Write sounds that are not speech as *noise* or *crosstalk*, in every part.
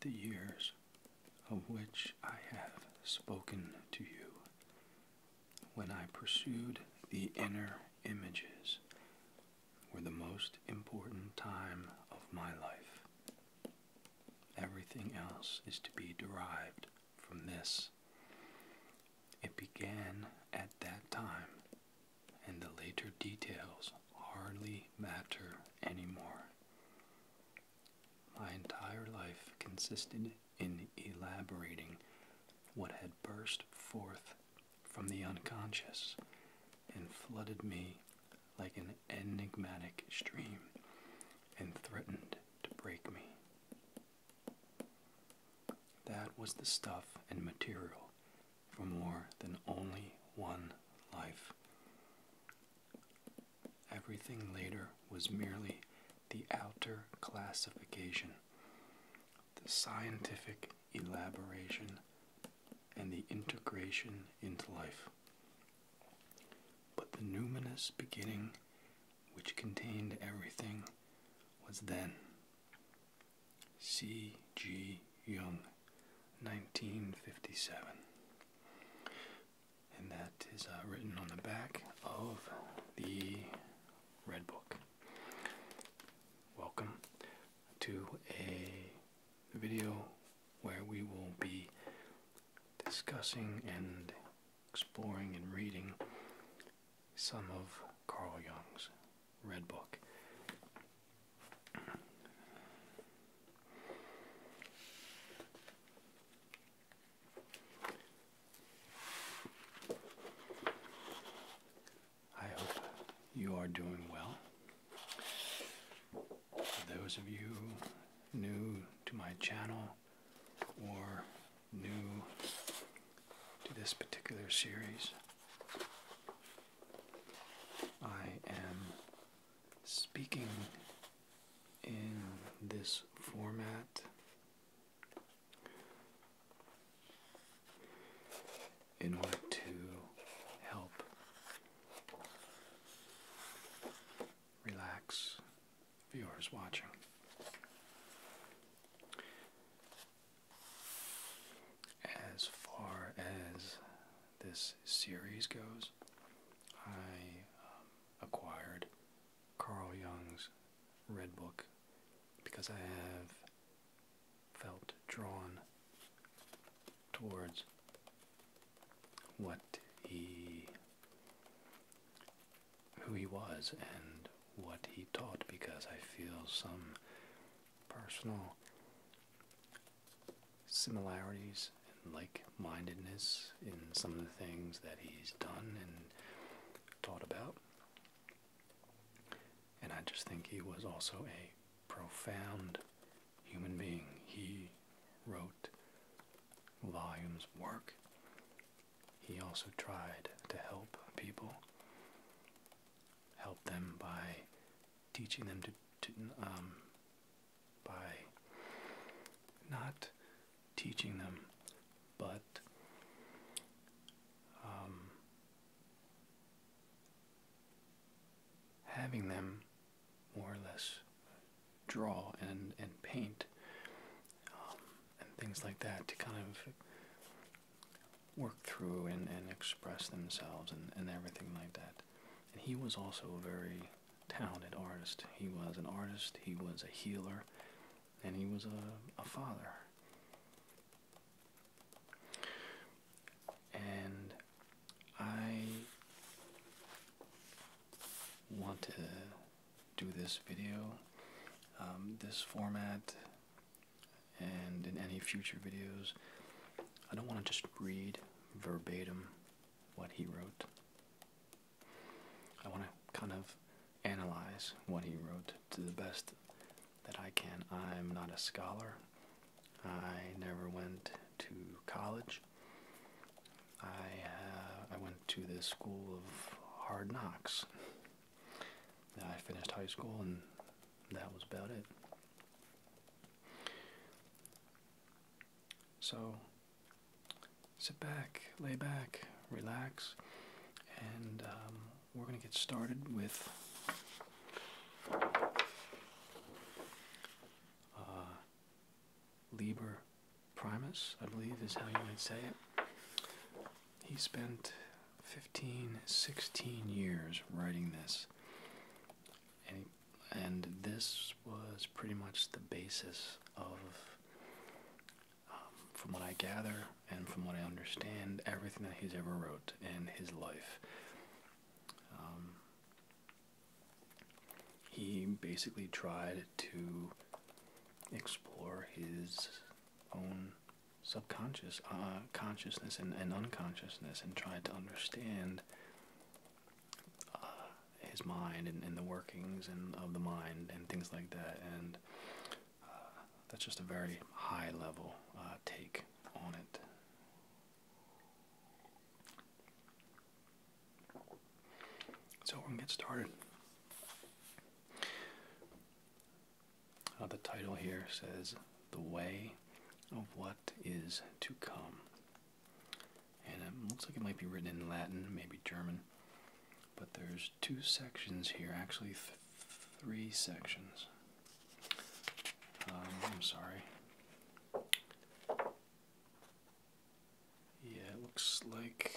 The years of which I have spoken to you, when I pursued the inner images, were the most important time of my life. Everything else is to be derived from this. It began at that time and the later details hardly matter anymore. My entire life consisted in elaborating what had burst forth from the unconscious and flooded me like an enigmatic stream and threatened to break me. That was the stuff and material for more than only one life. Everything later was merely the outer classification, the scientific elaboration, and the integration into life. But the numinous beginning, which contained everything, was then. C. G. Jung, 1957. And that is uh, written on the back of the Red Book. Welcome to a video where we will be discussing and exploring and reading some of Carl Jung's Red Book. I hope you are doing well. those of you new to my channel or new to this particular series, I am speaking in this format. In order to help relax viewers watching, as far as this series goes, I um, acquired Carl Jung's Red Book because I have felt drawn towards what he who he was and what he taught because I feel some personal similarities and like-mindedness in some of the things that he's done and taught about. And I just think he was also a profound human being. He wrote volumes of work. He also tried to help people, help them by teaching them to, um, by not teaching them, but um, having them more or less draw and, and paint um, and things like that to kind of work through and, and express themselves and, and everything like that. And he was also a very talented artist. He was an artist, he was a healer, and he was a, a father. And I want to do this video. Um, this format and in any future videos, I don't want to just read verbatim what he wrote. I want to kind of analyze what he wrote to the best that I can. I'm not a scholar. I never went to college. I uh, I went to the school of hard knocks. I finished high school and that was about it. So sit back, lay back, relax, and um, we're going to get started with uh, Liber Primus, I believe is how you might say it. He spent 15, 16 years writing this. And, this was pretty much the basis of, um, from what I gather and from what I understand, everything that he's ever wrote in his life. Um, he basically tried to explore his own subconscious uh, consciousness and, and unconsciousness and tried to understand uh, his mind and, and the workings and of the mind and things like that and uh, that's just a very high level take on it so we're get started uh, the title here says The Way of What Is to Come. And it looks like it might be written in Latin, maybe German. But there's two sections here, actually three sections. Um, I'm sorry. Yeah, it looks like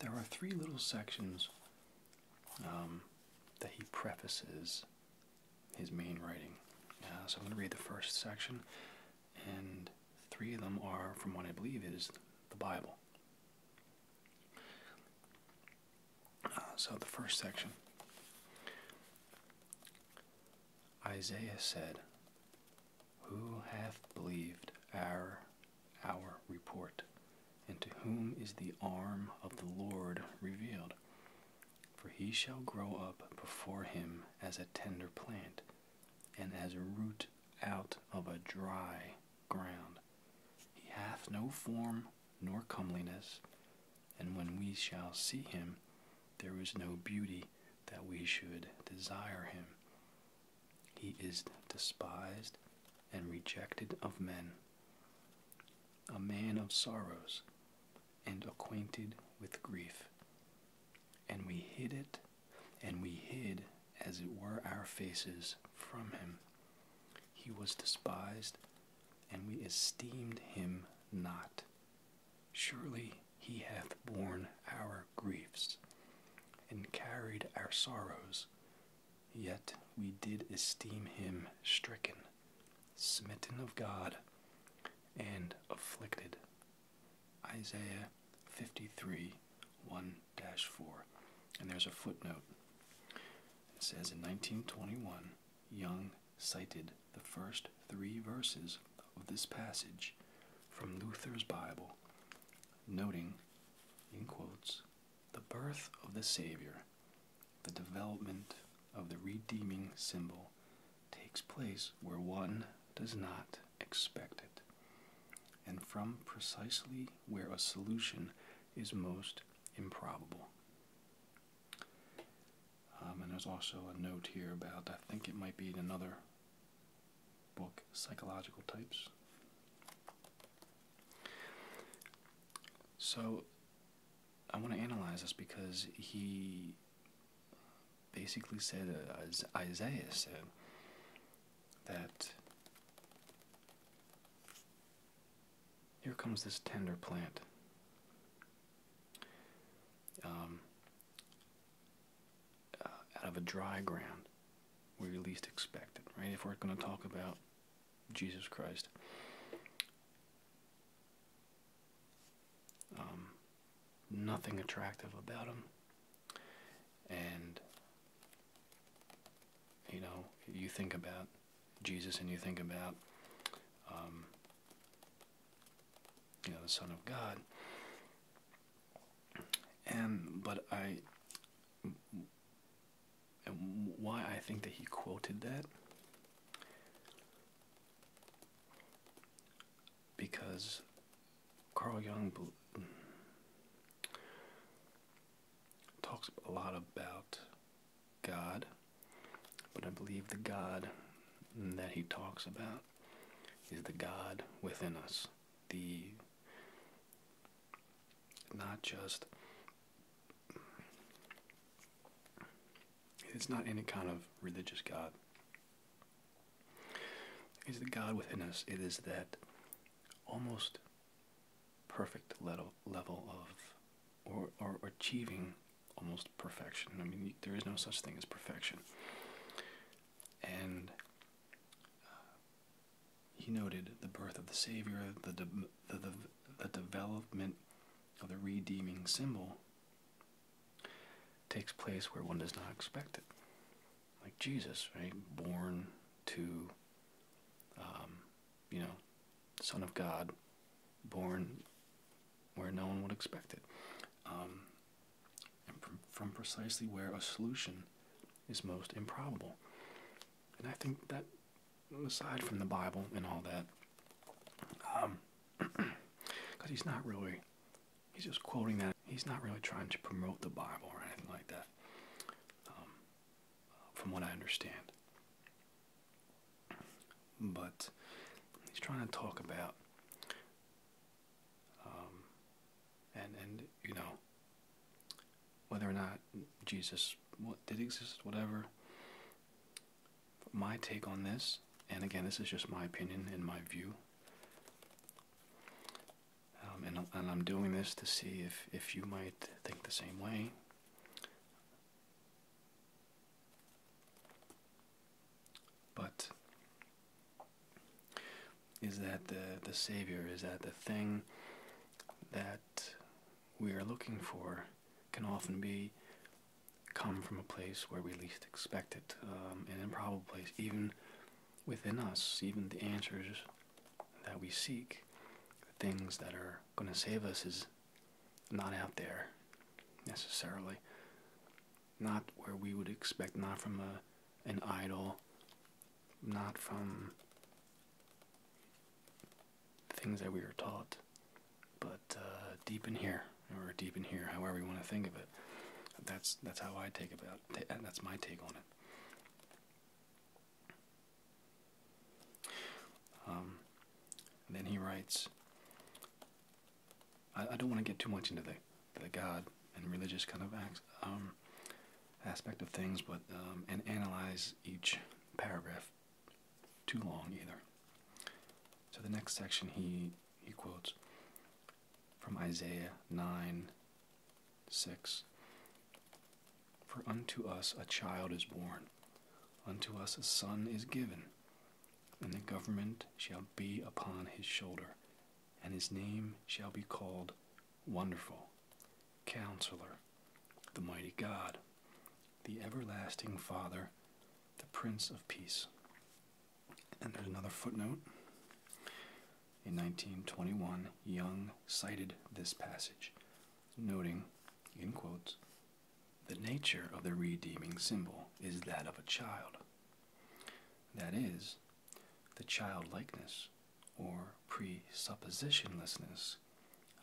there are three little sections um, that he prefaces his main writing. Uh, so I'm going to read the first section, and three of them are from what I believe is the Bible. Uh, so the first section Isaiah said, Who hath believed our, our report? and to whom is the arm of the Lord revealed. For he shall grow up before him as a tender plant, and as a root out of a dry ground. He hath no form nor comeliness, and when we shall see him, there is no beauty that we should desire him. He is despised and rejected of men, a man of sorrows and acquainted with grief. And we hid it, and we hid, as it were, our faces from him. He was despised, and we esteemed him not. Surely he hath borne our griefs, and carried our sorrows. Yet we did esteem him stricken, smitten of God, and afflicted. Isaiah 53 1 4. And there's a footnote. It says in 1921, Young cited the first three verses of this passage from Luther's Bible, noting, in quotes, the birth of the Savior the development of the redeeming symbol takes place where one does not expect it, and from precisely where a solution is most improbable. Um, and there's also a note here about, I think it might be in another book, Psychological Types. So I want to analyze this because he basically said, as Isaiah said, that here comes this tender plant. Um, uh, out of a dry ground where you least expect it, right? If we're going to talk about Jesus Christ. Um, nothing attractive about him. And, you know, you think about Jesus and you think about, um, you know, the Son of God. And, but I, and why I think that he quoted that because Carl Jung talks a lot about God, but I believe the God that he talks about is the God within us. The not just it's not any kind of religious God. It's the God within us. It is that almost perfect level level of or, or achieving almost perfection. I mean, there is no such thing as perfection. And uh, he noted the birth of the Savior, the the, the, development of the redeeming symbol takes place where one does not expect it. Like Jesus, right? Born to, um, you know, Son of God, born where no one would expect it. Um, from precisely where a solution is most improbable. And I think that aside from the Bible and all that. Because um, *clears throat* he's not really, he's just quoting that. He's not really trying to promote the Bible or anything like that, um, from what I understand. But he's trying to talk about, um, and, and you know, whether or not Jesus did exist, whatever. My take on this, and again, this is just my opinion and my view. Um, and, and I'm doing this to see if, if you might think the same way. But is that the, the Savior? Is that the thing that we are looking for can often be come from a place where we least expect it, um, an improbable place, even within us, even the answers that we seek, the things that are going to save us is not out there necessarily, not where we would expect, not from a, an idol, not from things that we were taught. But uh, deep in here, or deep in here, however you want to think of it, that's that's how I take about. That's my take on it. Um, then he writes. I, don't want to get too much into the the God and religious kind of um, aspect of things, but um, and analyze each paragraph too long either. So the next section he he quotes from Isaiah 9 6 For unto us a child is born, unto us a son is given, and the government shall be upon his shoulder, and his name shall be called Wonderful, Counselor, the Mighty God, the Everlasting Father, the Prince of Peace. And there's another footnote. In 1921, Young cited this passage, noting, in quotes, the nature of the redeeming symbol is that of a child. That is, the childlikeness or presuppositionlessness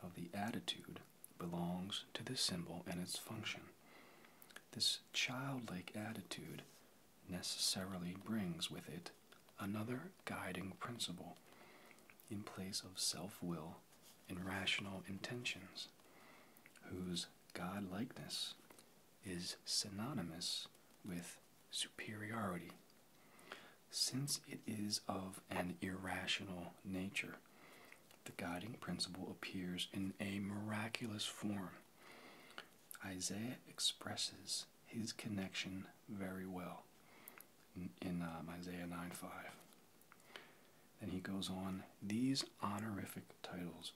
of the attitude belongs to this symbol and its function. This childlike attitude necessarily brings with it another guiding principle in place of self will and rational intentions, whose godlikeness is synonymous with superiority since it is of an irrational nature. The guiding principle appears in a miraculous form. Isaiah expresses his connection very well in, um, Isaiah 9 5. Then he goes on, these honorific titles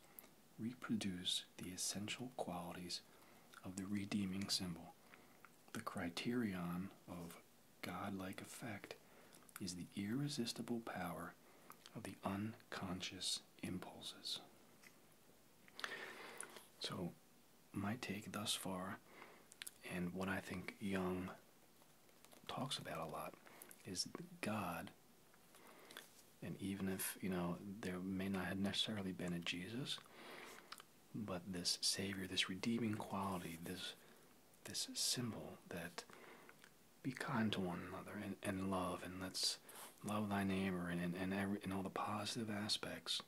reproduce the essential qualities of the redeeming symbol, the criterion of God-like effect is the irresistible power of the unconscious impulses. So, my take thus far, and what I think Young talks about a lot, is God. And even if, you know, there may not have necessarily been a Jesus, but this Savior, this redeeming quality, this this symbol that be kind to one another and, and love and let's love thy neighbor and and, and, every, all the positive aspects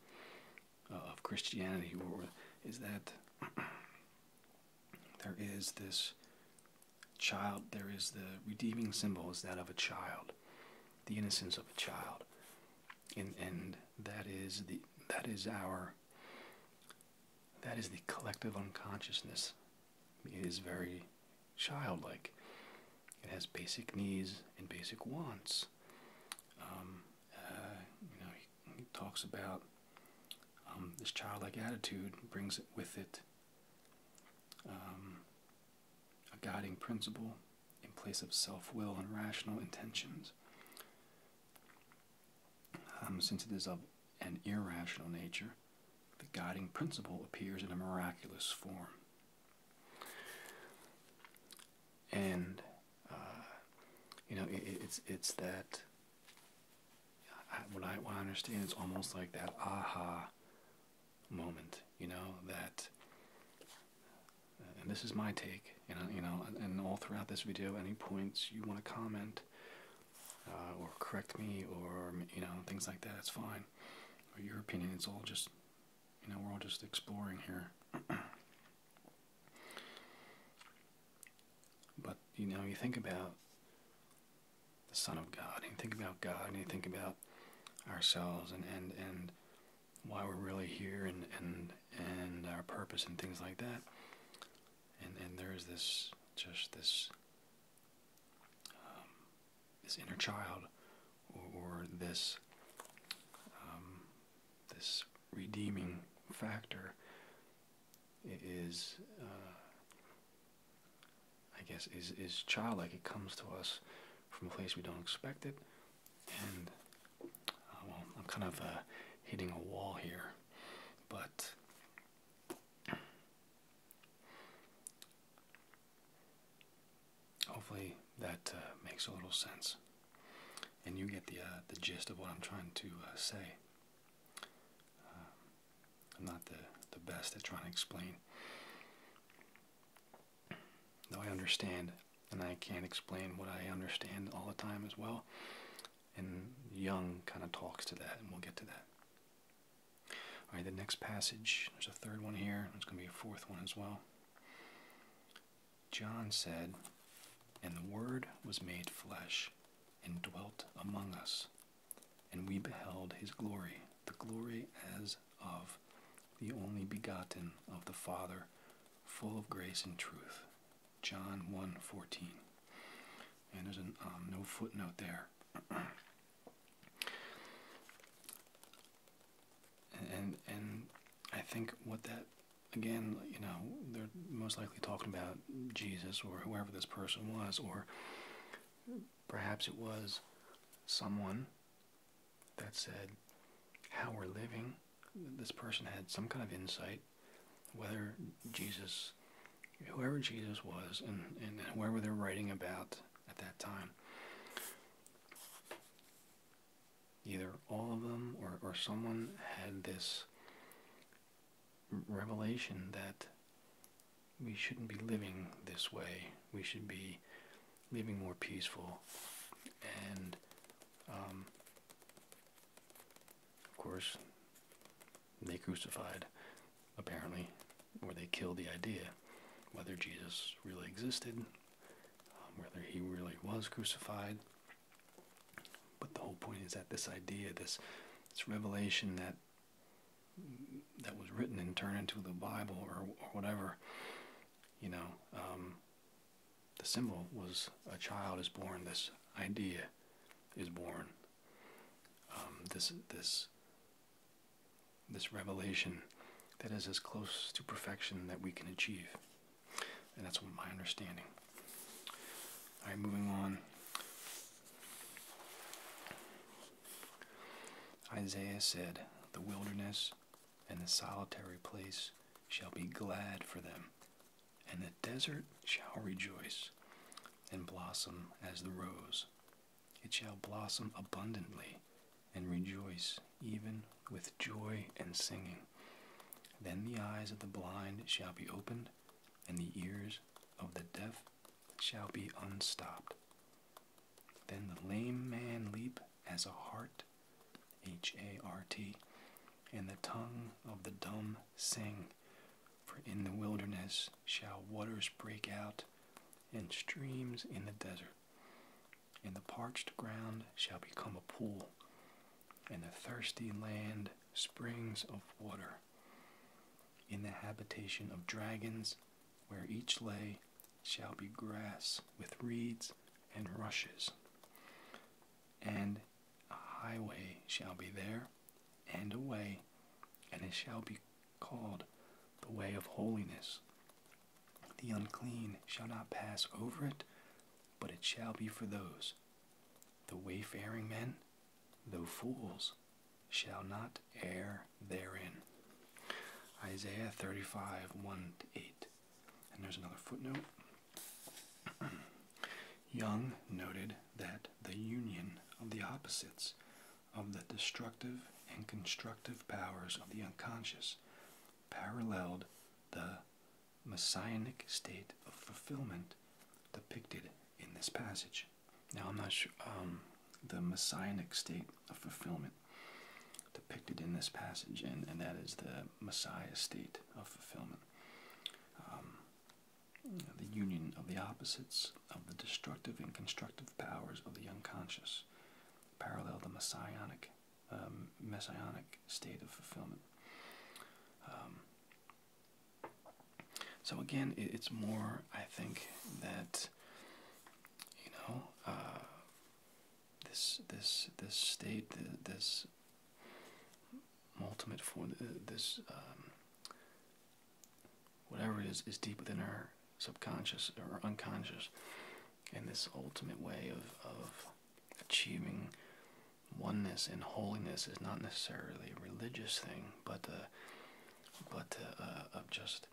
uh, of Christianity or is that *clears throat* there is this child there is the redeeming symbol is that of a child the innocence of a child and and that is the that is our that is the collective unconsciousness. It is very childlike. It has basic needs and basic wants. Um, uh, you know, he, talks about um, this childlike attitude brings with it um, a guiding principle in place of self-will and rational intentions. Um, since it is of an irrational nature, the guiding principle appears in a miraculous form. And, uh, you know, it's, it's that, when I, what I understand it's almost like that aha moment, you know, that, and this is my take, and, you know, and all throughout this video, any points you want to comment, uh, or correct me or you know things like that. It's fine. Or your opinion. It's all just you know we're all just exploring here. *clears throat* but you know you think about the Son of God, and you think about God, and you think about ourselves, and and and why we're really here, and and and our purpose, and things like that and and there is this just this um, this inner child or, this um, this redeeming factor is uh, I guess is is childlike it comes to us from a place we don't expect it and uh, well I'm kind of uh, hitting a wall here but hopefully that uh, makes a little sense, and you get the uh, the gist of what I'm trying to uh, say. I'm not the the best at trying to explain, though I understand, and I can't explain what I understand all the time as well. And Young kind of talks to that, and we'll get to that. All right, the next passage, there's a third one here, there's going to be a fourth one as well. John said, And the Word was made flesh and dwelt among us, and we beheld his glory, the glory as of the only begotten of the Father, full of grace and truth. John 1:14. And there's um, no footnote there. and and I think what that again, you know, they're most likely talking about Jesus or whoever this person was, or perhaps it was someone that said how we're living. This person had some kind of insight whether Jesus, whoever Jesus was, and, and whoever they're writing about at that time, either all of them or, someone had this revelation that we shouldn't be living this way. We should be living more peaceful and um, of course, they crucified, apparently, or they killed the idea whether Jesus really existed, um, whether he really was crucified. But the whole point is that this idea, this this revelation that that was written and turned into the Bible or, whatever, you know, um, the symbol was a child is born. This idea is born. Um, this this this revelation that is as close to perfection that we can achieve, and that's my understanding. All right, moving on. Isaiah said, "The wilderness and the solitary place shall be glad for them, and the desert shall rejoice and blossom as the rose. It shall blossom abundantly and rejoice even with joy and singing. Then the eyes of the blind shall be opened, and the ears of the deaf shall be unstopped. Then the lame man leap as a hart, H A R T, and the tongue of the dumb sing. For in the wilderness shall waters break out, and streams in the desert. And the parched ground shall become a pool, and the thirsty land springs of water. In the habitation of dragons, where each lay, shall be grass with reeds and rushes and a highway shall be there, and a way, and it shall be called the way of holiness. The unclean shall not pass over it, but it shall be for those. The wayfaring men, though fools, shall not err therein. Isaiah 35 8. And there's another footnote. *clears throat* Young noted that the union of the opposites of the destructive and constructive powers of the unconscious paralleled the messianic state of fulfillment depicted in this passage. Now, I'm not sure um, the messianic state of fulfillment depicted in this passage, and, and that is the Messiah state of fulfillment. Um, the union of the opposites of the destructive and constructive powers of the unconscious, parallel the messianic, um, messianic state of fulfillment. Um, so again, it's more, I think, that you know, uh, this this this state, this ultimate for this um, whatever is is deep within our subconscious or unconscious and this ultimate way of, of achieving oneness and holiness is not necessarily a religious thing but uh, but uh, uh, of just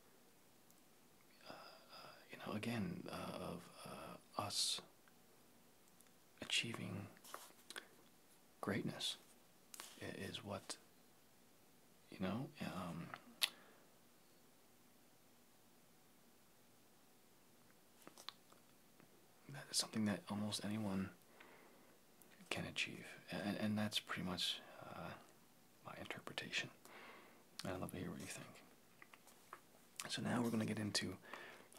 uh, uh, you know again uh, of us achieving greatness is what you know um, that is something that almost anyone can achieve and, that's pretty much uh, my interpretation i'd love to hear what you think so now we're going to get into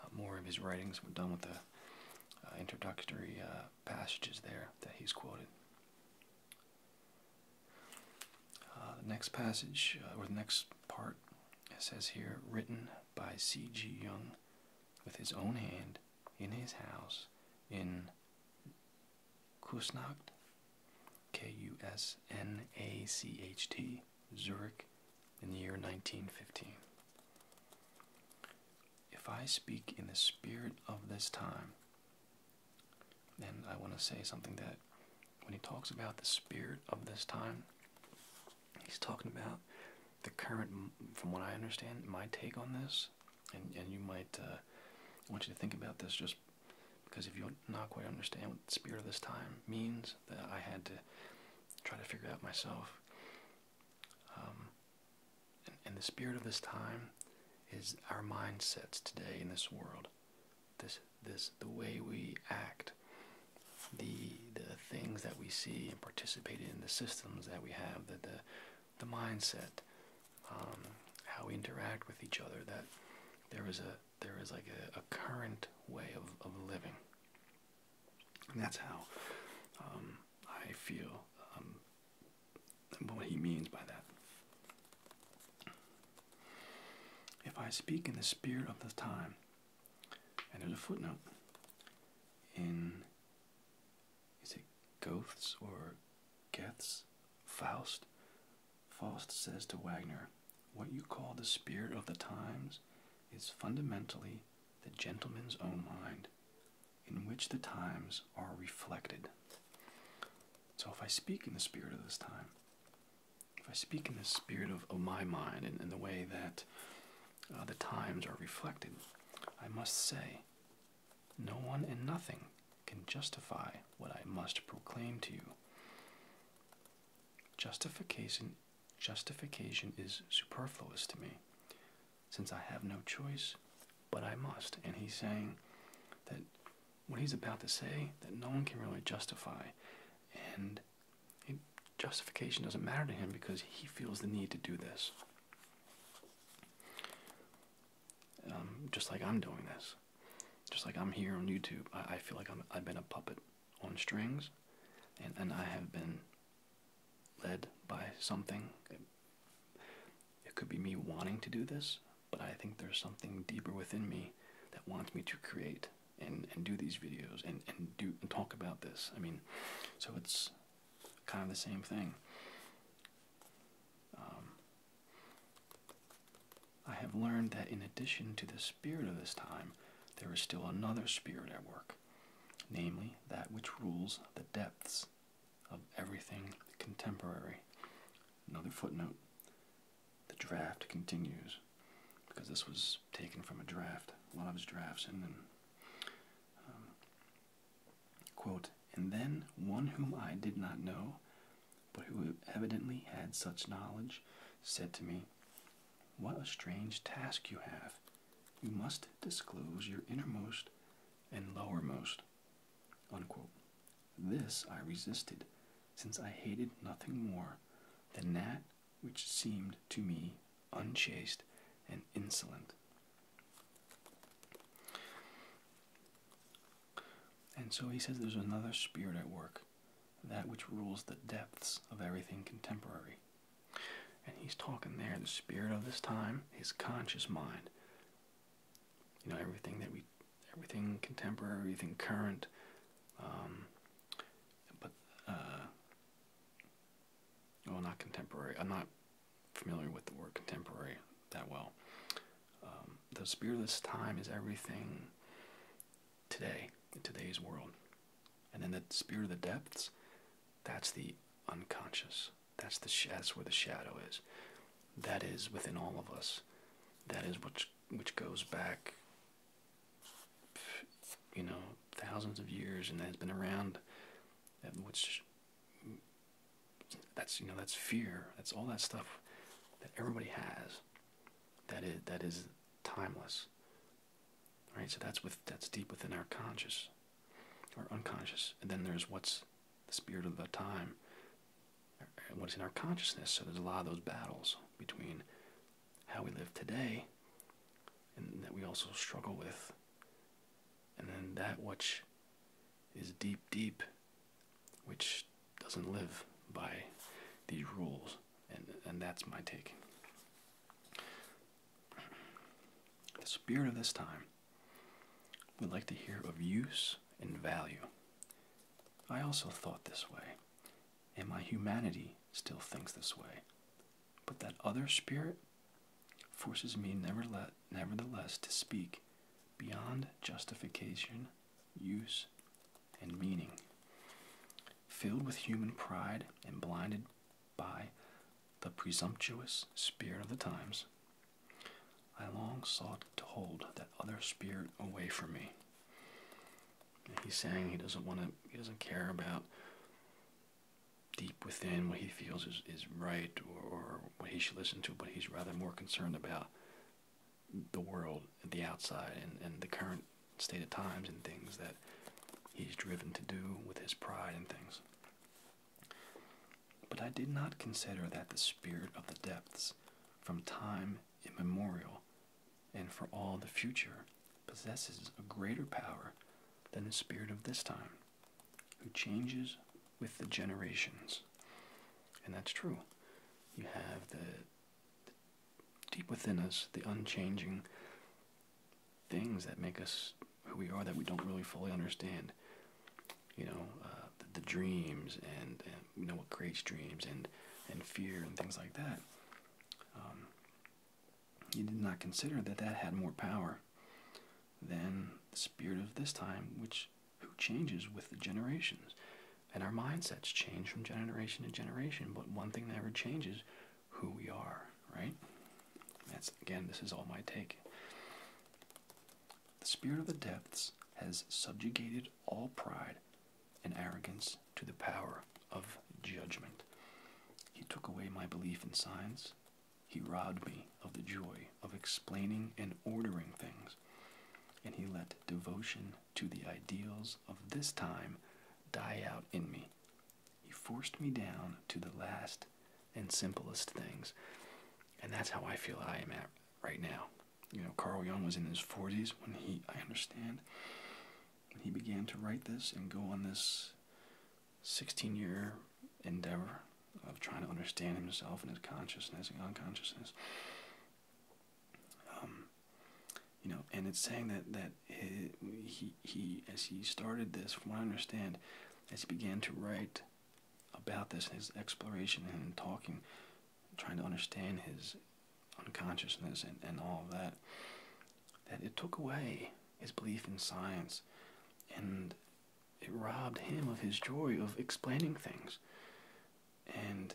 uh, more of his writings we're done with the uh, introductory passages there that he's quoted. Uh, the next passage, uh, or the next part, says here, written by C.G. Jung with his own hand in his house in Kusnacht, K U S N A C H T, Zurich, in the year 1915. If I speak in the spirit of this time, then I want to say something that when he talks about the spirit of this time, he's talking about the current, from what I understand, my take on this, and, and you might, uh, want you to think about this just because if you're not quite understand what spirit of this time means, that I had to try to figure out myself. Um, and, the spirit of this time is our mindsets today in this world. This, this, the way we act, the the things that we see and participate in, the systems that we have, the the, the mindset, um, how we interact with each other. That there is a there is like a, current way of, of living, and that's how um, I feel um, what he means by that. If I speak in the spirit of the time, and there's a footnote in is it Goethe's or Goethe's Faust? Faust says to Wagner, What you call the spirit of the times is fundamentally the gentleman's own mind, in which the times are reflected. So if I speak in the spirit of this time, if I speak in the spirit of, my mind and, the way that uh, the times are reflected, I must say, no one and nothing can justify what I must proclaim to you. Justification, justification is superfluous to me since I have no choice, but I must. And he's saying that what he's about to say, that no one can really justify. And justification doesn't matter to him because he feels the need to do this. Um, just like I'm doing this. Just like I'm here on YouTube. I, feel like i I've been a puppet on strings. And, and I have been led by something. It, could be me wanting to do this, but I think there's something deeper within me that wants me to create and, and do these videos and, and do and talk about this. I mean, so it's kind of the same thing. Um, I have learned that in addition to the spirit of this time, there is still another spirit at work, namely that which rules the depths of everything contemporary. Another footnote the draft continues because this was taken from a draft, a lot of his drafts, and then. Um, quote, and then one whom I did not know, but who evidently had such knowledge, said to me, What a strange task you have! You must disclose your innermost and lowermost. This I resisted, since I hated nothing more than that which seemed to me unchaste and insolent. And so he says there's another spirit at work, that which rules the depths of everything contemporary. And he's talking there, the spirit of this time, his conscious mind. You know, everything that we, everything contemporary, everything current. Um, but, uh, well, not contemporary. I'm not familiar with the word contemporary that well. Um, the spirit of this time is everything today, in today's world. And then the spirit of the depths, that's the unconscious. That's the that's where the shadow is. That is within all of us. That is which which goes back, you know, thousands of years, and has been around. Which that's you know that's fear. That's all that stuff that everybody has. That is that is timeless. right? so that's with that's deep within our conscious or unconscious. And then there's what's the spirit of the time, what's in our consciousness. So there's a lot of those battles between how we live today and that we also struggle with, and then that which is deep, deep, which doesn't live by these rules. And, and that's my take. The spirit of this time we like to hear of use and value. I also thought this way, and my humanity still thinks this way. But that other spirit forces me nevertheless to speak beyond justification, use, and meaning. Filled with human pride and blinded by the presumptuous spirit of the times, I long sought to hold that other spirit away from me. he's saying he doesn't want to, he doesn't care about deep within what he feels is, is right or, or what he should listen to, but he's rather more concerned about the world, the outside, and, and the current state of times and things that he's driven to do with his pride and things. But I did not consider that the spirit of the depths, from time immemorial and for all the future, possesses a greater power than the spirit of this time, who changes with the generations. And that's true. You have the, deep within us, the unchanging things that make us who we are that we don't really fully understand. You know, uh, the, dreams and, you know what creates dreams and and fear and things like that. Um, you did not consider that that had more power than the spirit of this time, which who changes with the generations. And our mindsets change from generation to generation, but one thing that never changes who we are, right? That's again, this is all my take. The spirit of the depths has subjugated all pride and arrogance to the power of judgment. He took away my belief in science. He robbed me of the joy of explaining and ordering things. And he let devotion to the ideals of this time die out in me. He forced me down to the last and simplest things. And that's how I feel I am at right now. You know, Carl Jung was in his 40s when he, I understand, he began to write this and go on this 16 year endeavor of trying to understand himself and his consciousness and unconsciousness. Um, you know, and it's saying that that he he as he started this, from what I understand, as he began to write about this, his exploration and talking, trying to understand his unconsciousness and, all of that, that it took away his belief in science and it robbed him of his joy of explaining things. And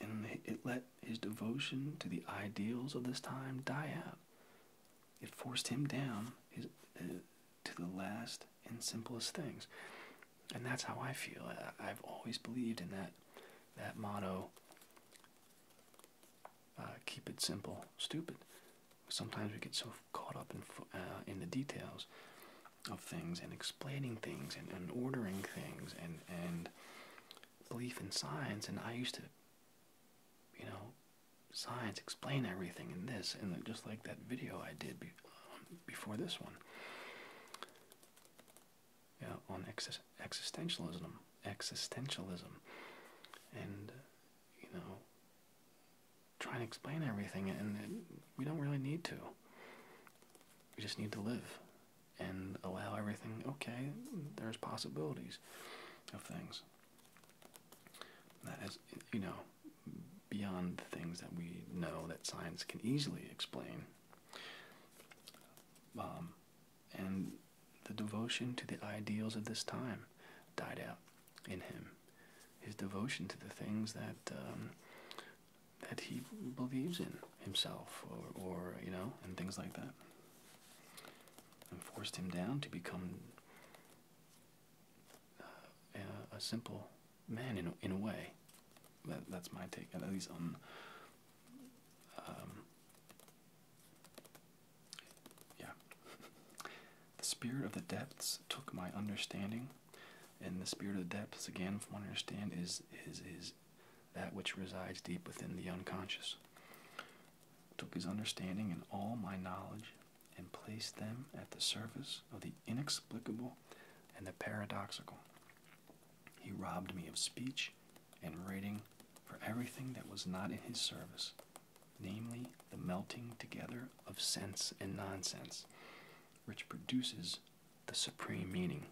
and it let his devotion to the ideals of this time die out. It forced him down uh, to the last and simplest things. And that's how I feel. I, have always believed in that that motto. Uh, keep it simple, stupid. Sometimes we get so caught up in uh, in the details of things and explaining things and ordering things and and belief in science. And I used to, you know, science explain everything in this and just like that video I did before this one yeah, on existentialism existentialism and you know try and explain everything and we don't really need to we just need to live and allow everything okay there's possibilities of things that is you know beyond the things that we know that science can easily explain. Um, and the devotion to the ideals of this time died out in him. His devotion to the things that um, that he believes in himself, or, you know, and things like that, and forced him down to become uh, a simple man in a, in a way. that's my take, at least on. Um, yeah. the spirit of the depths took my understanding, and the spirit of the depths, again, if what I understand, is is is that which resides deep within the unconscious. Took his understanding and all my knowledge and placed them at the service of the inexplicable and the paradoxical. He robbed me of speech and writing, for everything that was not in his service, namely the melting together of sense and nonsense, which produces the supreme meaning.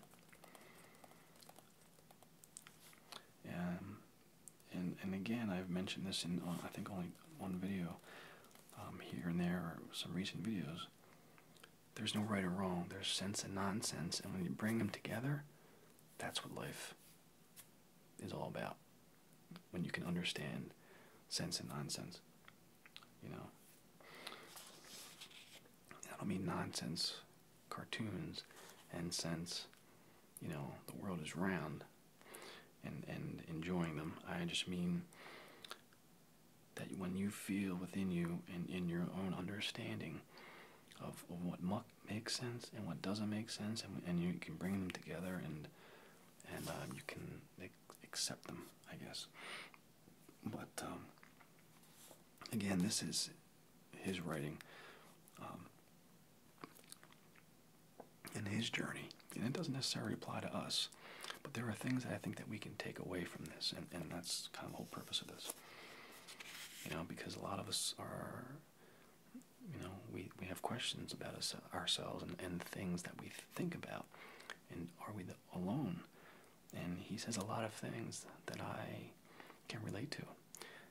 Um, and and again, I've mentioned this in I think only one video, um, here and there, or some recent videos, there's no right or wrong. There's sense and nonsense, and when you bring them together, that's what life is all about. When you can understand sense and nonsense, you know. I don't mean nonsense cartoons and sense, you know, the world is round and, and enjoying them. I just mean that when you feel within you and in your own understanding of, what muck makes sense and what doesn't make sense, and, you can bring them together and and uh, you can accept them, I guess. But um, again, this is his writing. Um, in his journey. And it doesn't necessarily apply to us, but there are things that I think that we can take away from this, and, that's kind of the whole purpose of this. You know, because a lot of us are, you know, we, we have questions about us, ourselves and, things that we think about. And are we alone? And he says a lot of things that I can relate to.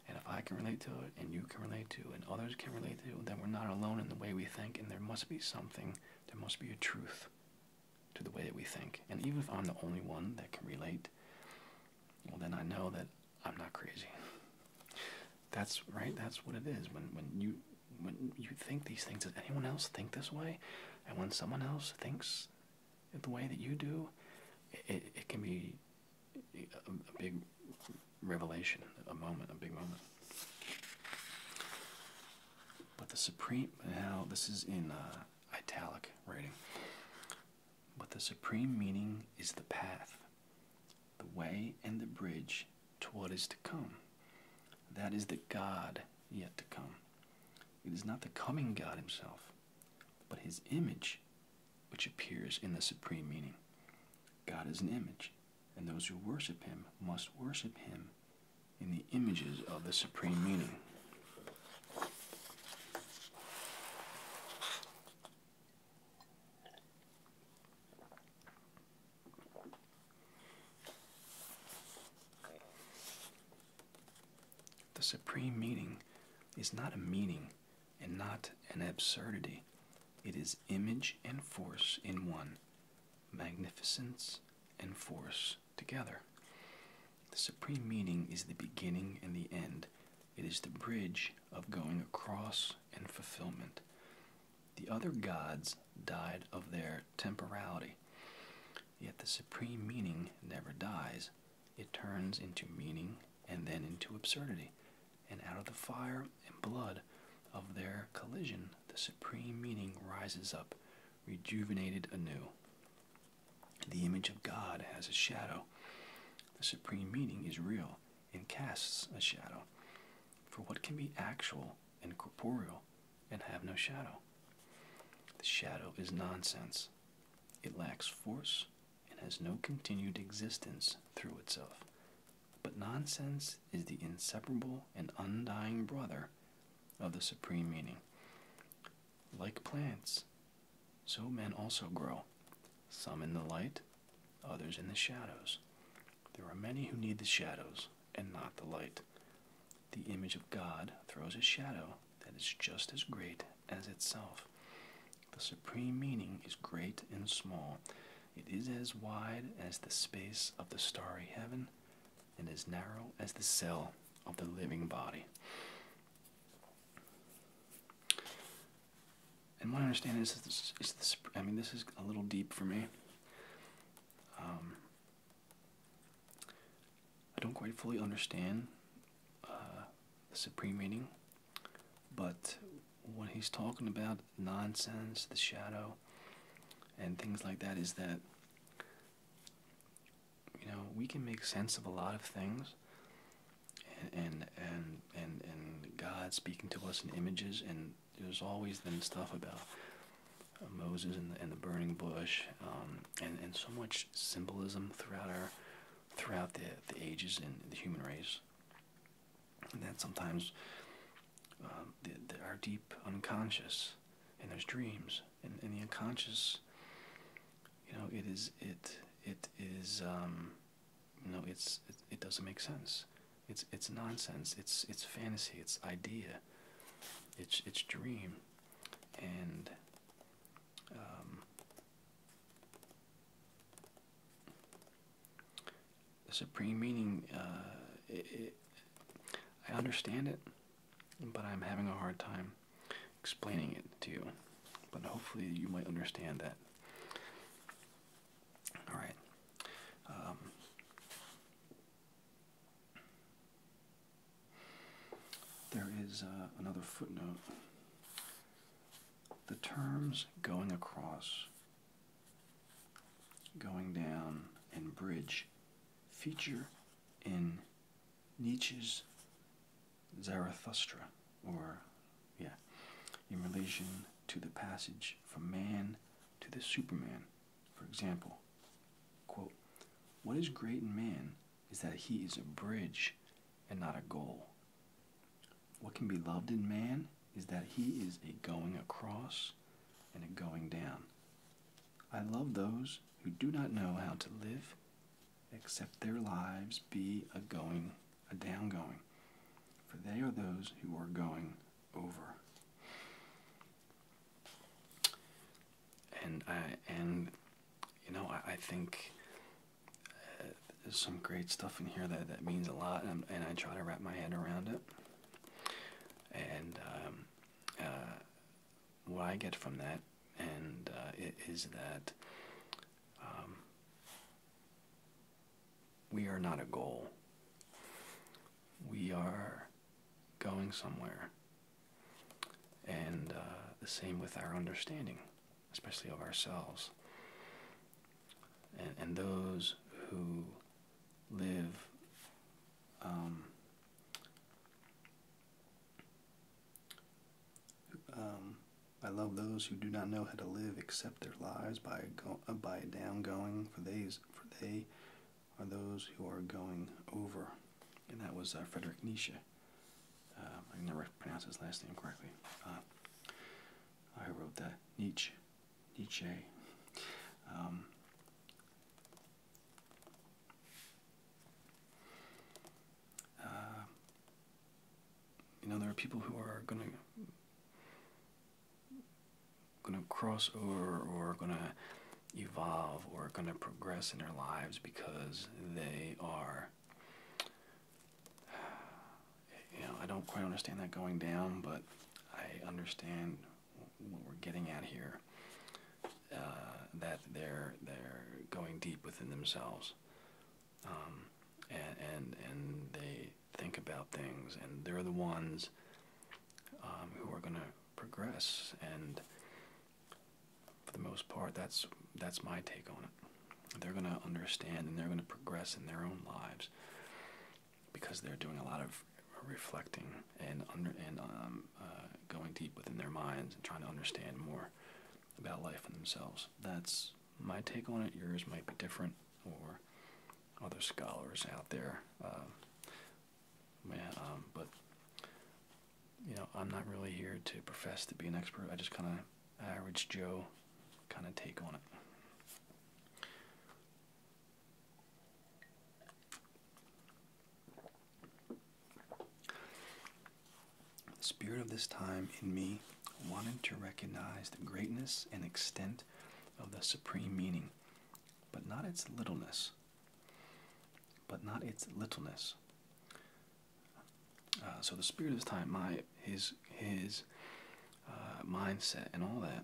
And if I can relate to it, and you can relate to, it, and others can relate to, it, then we're not alone in the way we think, and there must be something there must be a truth to the way that we think. And even if I'm the only one that can relate, well, then I know that I'm not crazy. That's right. That's what it is. When when you when you think these things, does anyone else think this way? And when someone else thinks the way that you do, it, it can be a big revelation, a moment, a big moment. But the Supreme, now this is in uh, italic writing, but the supreme meaning is the path, the way, and the bridge to what is to come. That is the God yet to come. It is not the coming God himself, but his image which appears in the supreme meaning. God is an image and those who worship him must worship him in the images of the supreme meaning. The supreme meaning is not a meaning and not an absurdity. It is image and force in one, magnificence, and force together. The supreme meaning is the beginning and the end. It is the bridge of going across and fulfillment. The other gods died of their temporality. Yet the supreme meaning never dies. It turns into meaning and then into absurdity. And out of the fire and blood of their collision the supreme meaning rises up, rejuvenated anew. The image of God has a shadow. The supreme meaning is real and casts a shadow. For what can be actual and corporeal and have no shadow? The shadow is nonsense. It lacks force and has no continued existence through itself. But nonsense is the inseparable and undying brother of the supreme meaning. Like plants, so men also grow, some in the light, others in the shadows. There are many who need the shadows and not the light. The image of God throws a shadow that is just as great as itself. The supreme meaning is great and small, it is as wide as the space of the starry heaven, and as narrow as the cell of the living body. And my understanding is I mean, this is a little deep for me. Um, I don't quite fully understand uh, the supreme meaning, but what he's talking about nonsense, the shadow, and things like that is that you know we can make sense of a lot of things, and and and and, God speaking to us in images, and there's always then stuff about. Moses and the, burning bush, um, and and so much symbolism throughout our, throughout the the ages and the human race, and that sometimes um, the, our deep unconscious and there's dreams and, the unconscious you know it is it it is um, you know it's it, doesn't make sense it's it's nonsense it's it's fantasy it's idea it's it's dream and um, the supreme meaning, uh, I understand it, but I'm having a hard time explaining it to you. But hopefully, you might understand that. All right. Um, there is uh, another footnote. The terms going across going down and bridge feature in Nietzsche's Zarathustra, or, yeah, in relation to the passage from man to the Superman. For example, quote, What is great in man is that he is a bridge and not a goal. What can be loved in man is that he is a going across and a going down. I love those who do not know how to live except their lives be a going, a down going, for they are those who are going over. And I and you know I, I think uh, there's some great stuff in here that that means a lot, and I try to wrap my head around it. And um, uh, what I get from that, and uh, that um, we are not a goal. We are going somewhere, and uh, the same with our understanding, especially of ourselves. And, and those who live um, um, I love those who do not know how to live except their lives by go uh, by down going for they's for they are those who are going over, and that was uh, Frederick Nietzsche. Um, I never pronounced his last name correctly. Uh, I wrote that Nietzsche. DJ. Um, uh, you know, there are people who are gonna gonna cross over or gonna evolve or gonna progress in their lives because they are you know, I don't quite understand that going down, but I understand what we're getting at here. Uh, that they're they're going deep within themselves, um, and, and they think about things, and they're the ones um, who are going to progress. And for the most part, that's that's my take on it. They're going to understand, and they're going to progress in their own lives because they're doing a lot of reflecting and under and um, uh, going deep within their minds and trying to understand more about life and themselves. That's my take on it. Yours might be different, or other scholars out there. Um, man, um, but you know, I'm not really here to profess to be an expert. I just kind of average Joe kind of take on it. The spirit of this time in me wanted to recognize the greatness and extent of the supreme meaning, but not its littleness. But not its littleness. Uh, so the spirit of this time, my his his uh, mindset and all that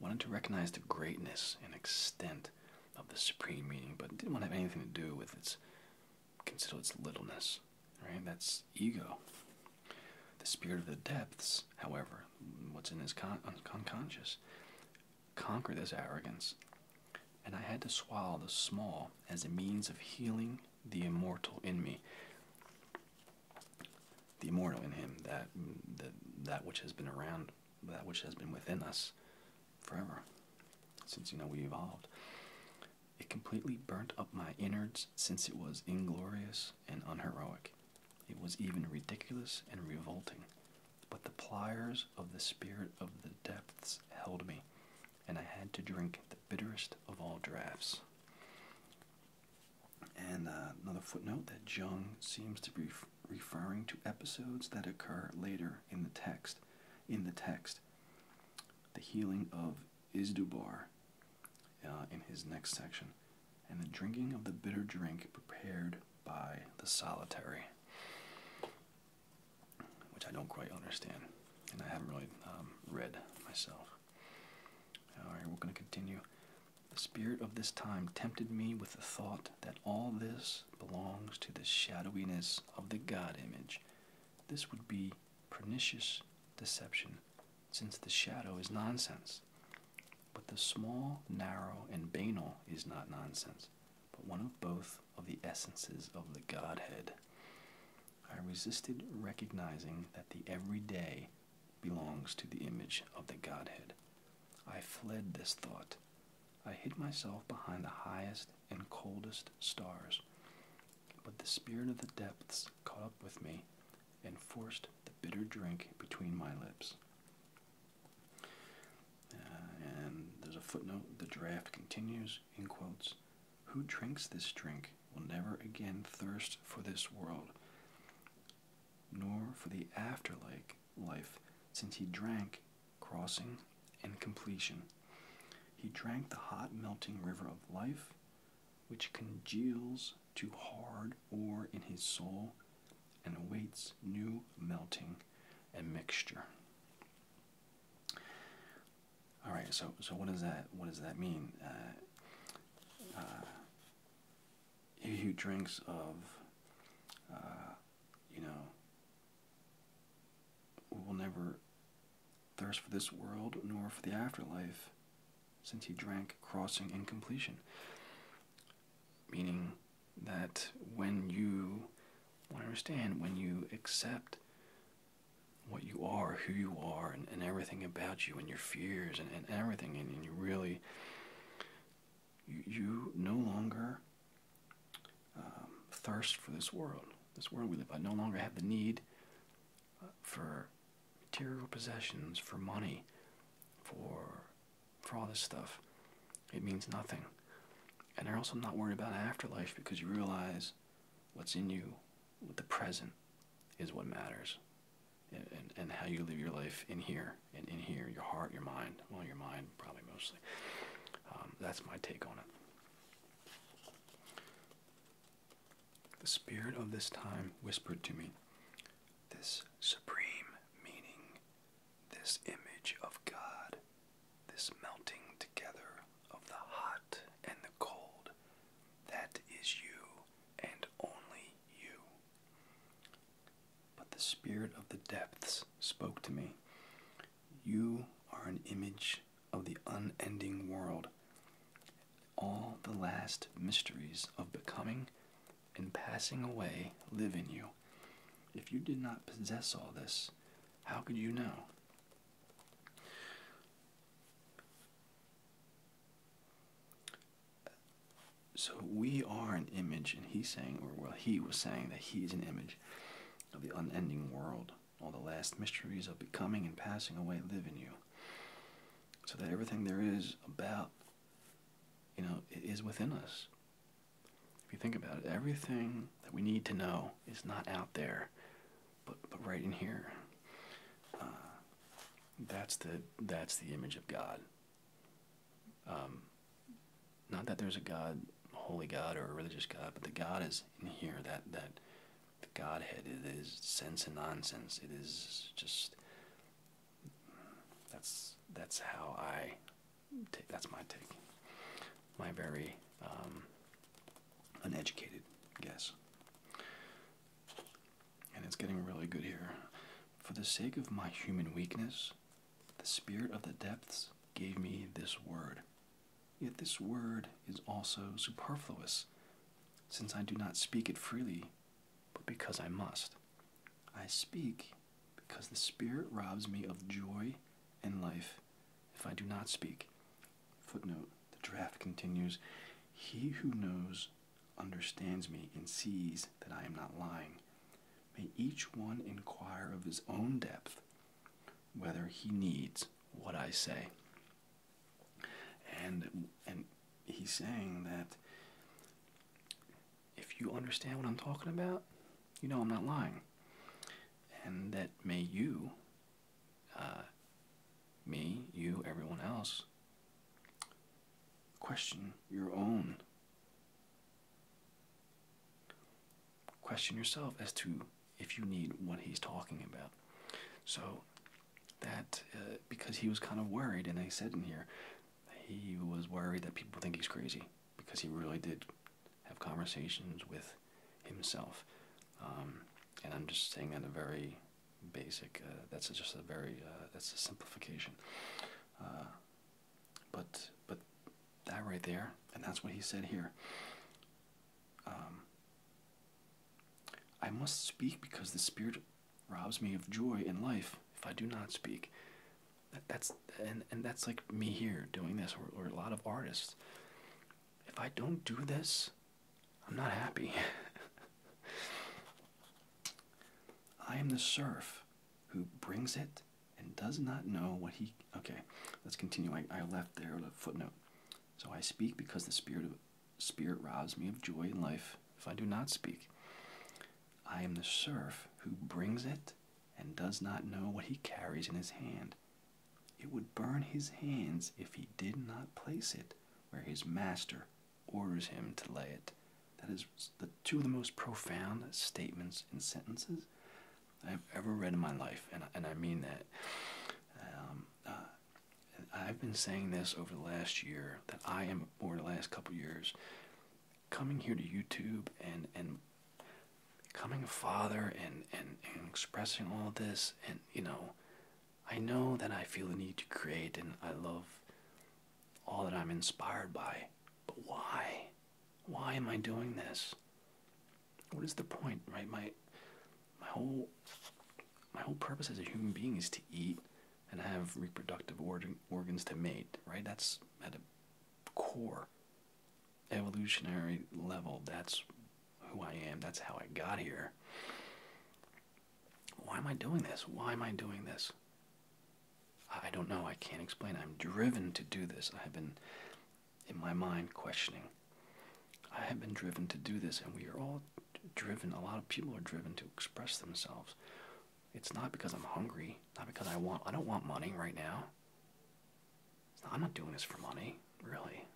wanted to recognize the greatness and extent of the supreme meaning, but didn't want to have anything to do with its consider its littleness. Right? That's ego. The spirit of the depths, however, what's in his con unconscious, conquer this arrogance. And I had to swallow the small as a means of healing the immortal in me. The immortal in him, that, that, that which has been around that which has been within us forever, since you know we evolved. It completely burnt up my innards since it was inglorious and unheroic. It was even ridiculous and revolting. But the pliers of the spirit of the depths held me, and I had to drink the bitterest of all draughts. And uh, another footnote that Jung seems to be referring to episodes that occur later in the text. In the text, the healing of Isdubar uh, in his next section, and the drinking of the bitter drink prepared by the solitary, which I don't quite understand, and I haven't really um, read myself. All right, we're going to continue. The spirit of this time tempted me with the thought that all this belongs to the shadowiness of the God image. This would be pernicious deception, since the shadow is nonsense. But the small, narrow, and banal is not nonsense, but one of both of the essences of the Godhead. I resisted recognizing that the everyday belongs to the image of the Godhead. I fled this thought. I hid myself behind the highest and coldest stars. But the spirit of the depths caught up with me and forced the bitter drink between my lips. Uh, and there's a footnote. The draft continues in quotes Who drinks this drink will never again thirst for this world, nor for the afterlife life, since he drank crossing and completion. He drank the hot melting river of life, which congeals to hard ore in his soul and awaits new melting and mixture. All right, so so what does that what does that mean? Uh, uh, he drinks of, uh, you know, will never thirst for this world nor for the afterlife, since he drank crossing incompletion. Meaning that when you, understand, when you accept what you are, who you are, and, everything about you, and your fears, and, everything, and you really you, you no longer um, thirst for this world, this world we live. I no longer have the need uh, for material possessions, for money, for for all this stuff. It means nothing. And I also'm not worried about afterlife because you realize what's in you with the present is what matters and, how you live your life in here and in here, your heart, your mind. Well, your mind probably mostly. Um, that's my take on it. The spirit of this time whispered to me this supreme meaning, this image of God, this melting together of the hot and the cold, that is you and only you. But the spirit of the depths spoke to me. You are an image of the unending world. All the last mysteries of becoming and passing away live in you. If you did not possess all this, how could you know? so we are an image, and he's saying, or well, he was saying that he is an image of the unending world. All the last mysteries of becoming and passing away live in you. So that everything there is about, you know, is within us. If you think about it, everything that we need to know is not out there, but, but right in here. Uh, that's the that's the image of God. Um, not that there's a God, holy God, or a religious God, but the God is in here. That that Godhead it is sense and nonsense. It is just that's that's how I take. That's my take. My very um, uneducated guess. And it's getting really good here. For the sake of my human weakness, the spirit of the depths gave me this word. Yet this word is also superfluous, since I do not speak it freely, but because I must. I speak because the Spirit robs me of joy and life if I do not speak. Footnote The draft continues He who knows understands me and sees that I am not lying may each one inquire of his own depth whether he needs what I say. And and he's saying that if you understand what I'm talking about, you know I'm not lying. And that may you, uh, me, you, everyone else, question your own Question yourself as to if you need what he's talking about. So, that uh, because he was kind of worried, and I said in here, he was worried that people think he's crazy because he really did have conversations with himself. Um, and I'm just saying that a very basic, uh, that's just a very, uh, that's a simplification. But but that right there, and that's what he said here. Um, I must speak because the spirit robs me of joy in life if I do not speak. that's and and that's like me here doing this, or, or a lot of artists. If I don't do this, I'm not happy. *laughs* I am the serf who brings it and does not know what he. Okay, let's continue. I, left there a footnote. So I speak because the spirit of, spirit robs me of joy in life. If I do not speak, I am the serf who brings it and does not know what he carries in his hand. It would burn his hands if he did not place it where his master orders him to lay it. That is the two of the most profound statements and sentences I've ever read in my life, and, and I mean that. Um, uh, I've been saying this over the last year that I am, or the last couple years, coming here to YouTube and, and becoming a father and, and expressing all this, and you know, I know that I feel the need to create and I love all that I'm inspired by, but why? Why am I doing this? What is the point, right? My my whole my whole purpose as a human being is to eat and have reproductive organs to mate, right? That's at a core evolutionary level. That's who I am. That's how I got here. Why am I doing this? Why am I doing this? I don't know, I can't explain. I'm driven to do this. I have been, in my mind, questioning. I have been driven to do this, and we are all driven, a lot of people are driven to express themselves. It's not because I'm hungry, not because I want, I don't want money right now. I'm not doing this for money, really.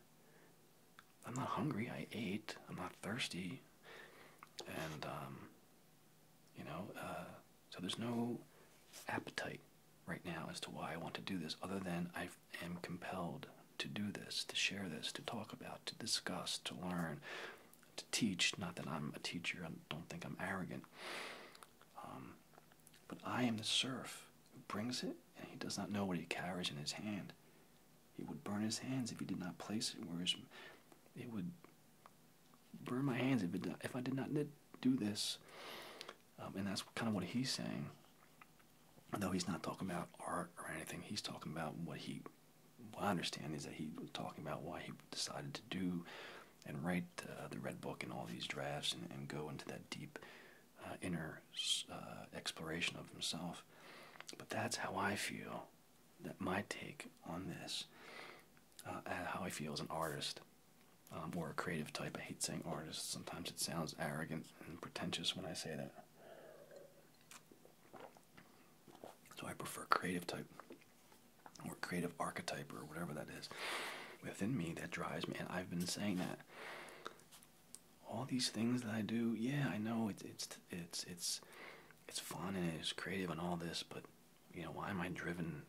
I'm not hungry, I ate, I'm not thirsty. And, um, you know, uh, so there's no appetite right now as to why I want to do this, other than I am compelled to do this, to share this, to talk about, to discuss, to learn, to teach. Not that I'm a teacher, I don't think I'm arrogant. Um, but I am the serf who brings it, and he does not know what he carries in his hand. He would burn his hands if he did not place it where his, it would burn my hands if, I did not do this. Um, and that's kind of what he's saying. Though he's not talking about art or anything, he's talking about what he, what I understand is that he was talking about why he decided to do and write uh, the Red Book and all these drafts and, go into that deep uh, inner uh, exploration of himself. But that's how I feel that my take on this, how I feel as an artist um, uh, or a creative type. I hate saying artist. Sometimes it sounds arrogant and pretentious when I say that. So I prefer creative type or creative archetype or whatever that is within me that drives me. And I've been saying that all these things that I do, yeah, I know it's it's it's it's it's fun and it's creative and all this, but you know why am I driven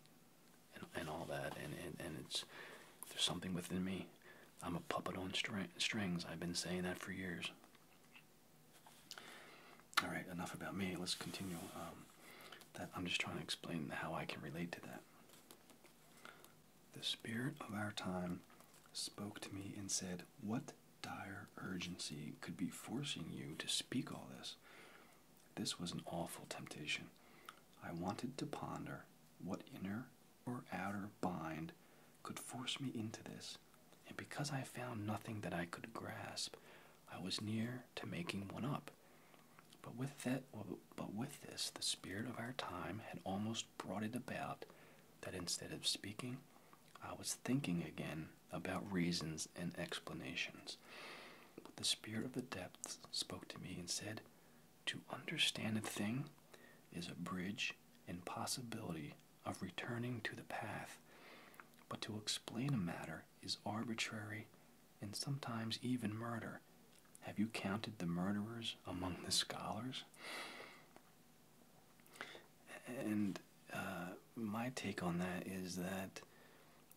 and, all that and, and and it's there's something within me I'm a puppet on strings I've been saying that for years all right enough about me let's continue um, that I'm just trying to explain how I can relate to that the spirit of our time spoke to me and said what dire urgency could be forcing you to speak all this this was an awful temptation. I wanted to ponder what inner or outer bind could force me into this, and because I found nothing that I could grasp, I was near to making one up. But with that, but with this, the spirit of our time had almost brought it about that instead of speaking, I was thinking again about reasons and explanations. But the spirit of the depths spoke to me and said, To understand a thing is a bridge and possibility of returning to the path, but to explain a matter is arbitrary and sometimes even murder. Have you counted the murderers among the scholars? And uh, my take on that is that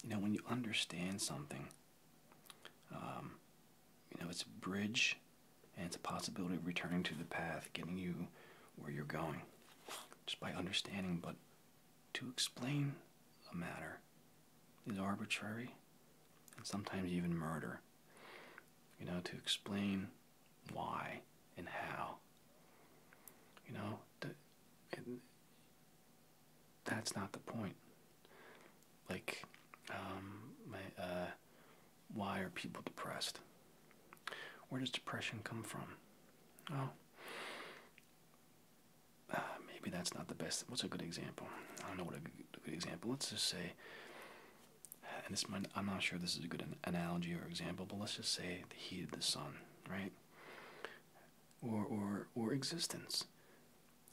you know when you understand something um, you know it's a bridge and it's a possibility of returning to the path getting you where you're going just by understanding but to explain a matter is arbitrary and sometimes even murder you know to explain why and how you know that's not the point. Like, um, uh, why are people depressed? Where does depression come from? Oh, uh, maybe that's not the best. What's a good example? I don't know what a good, example. Let's just say, and this might, I'm not sure this is a good analogy or example, but let's just say the heat of the sun, right? or, or, or existence.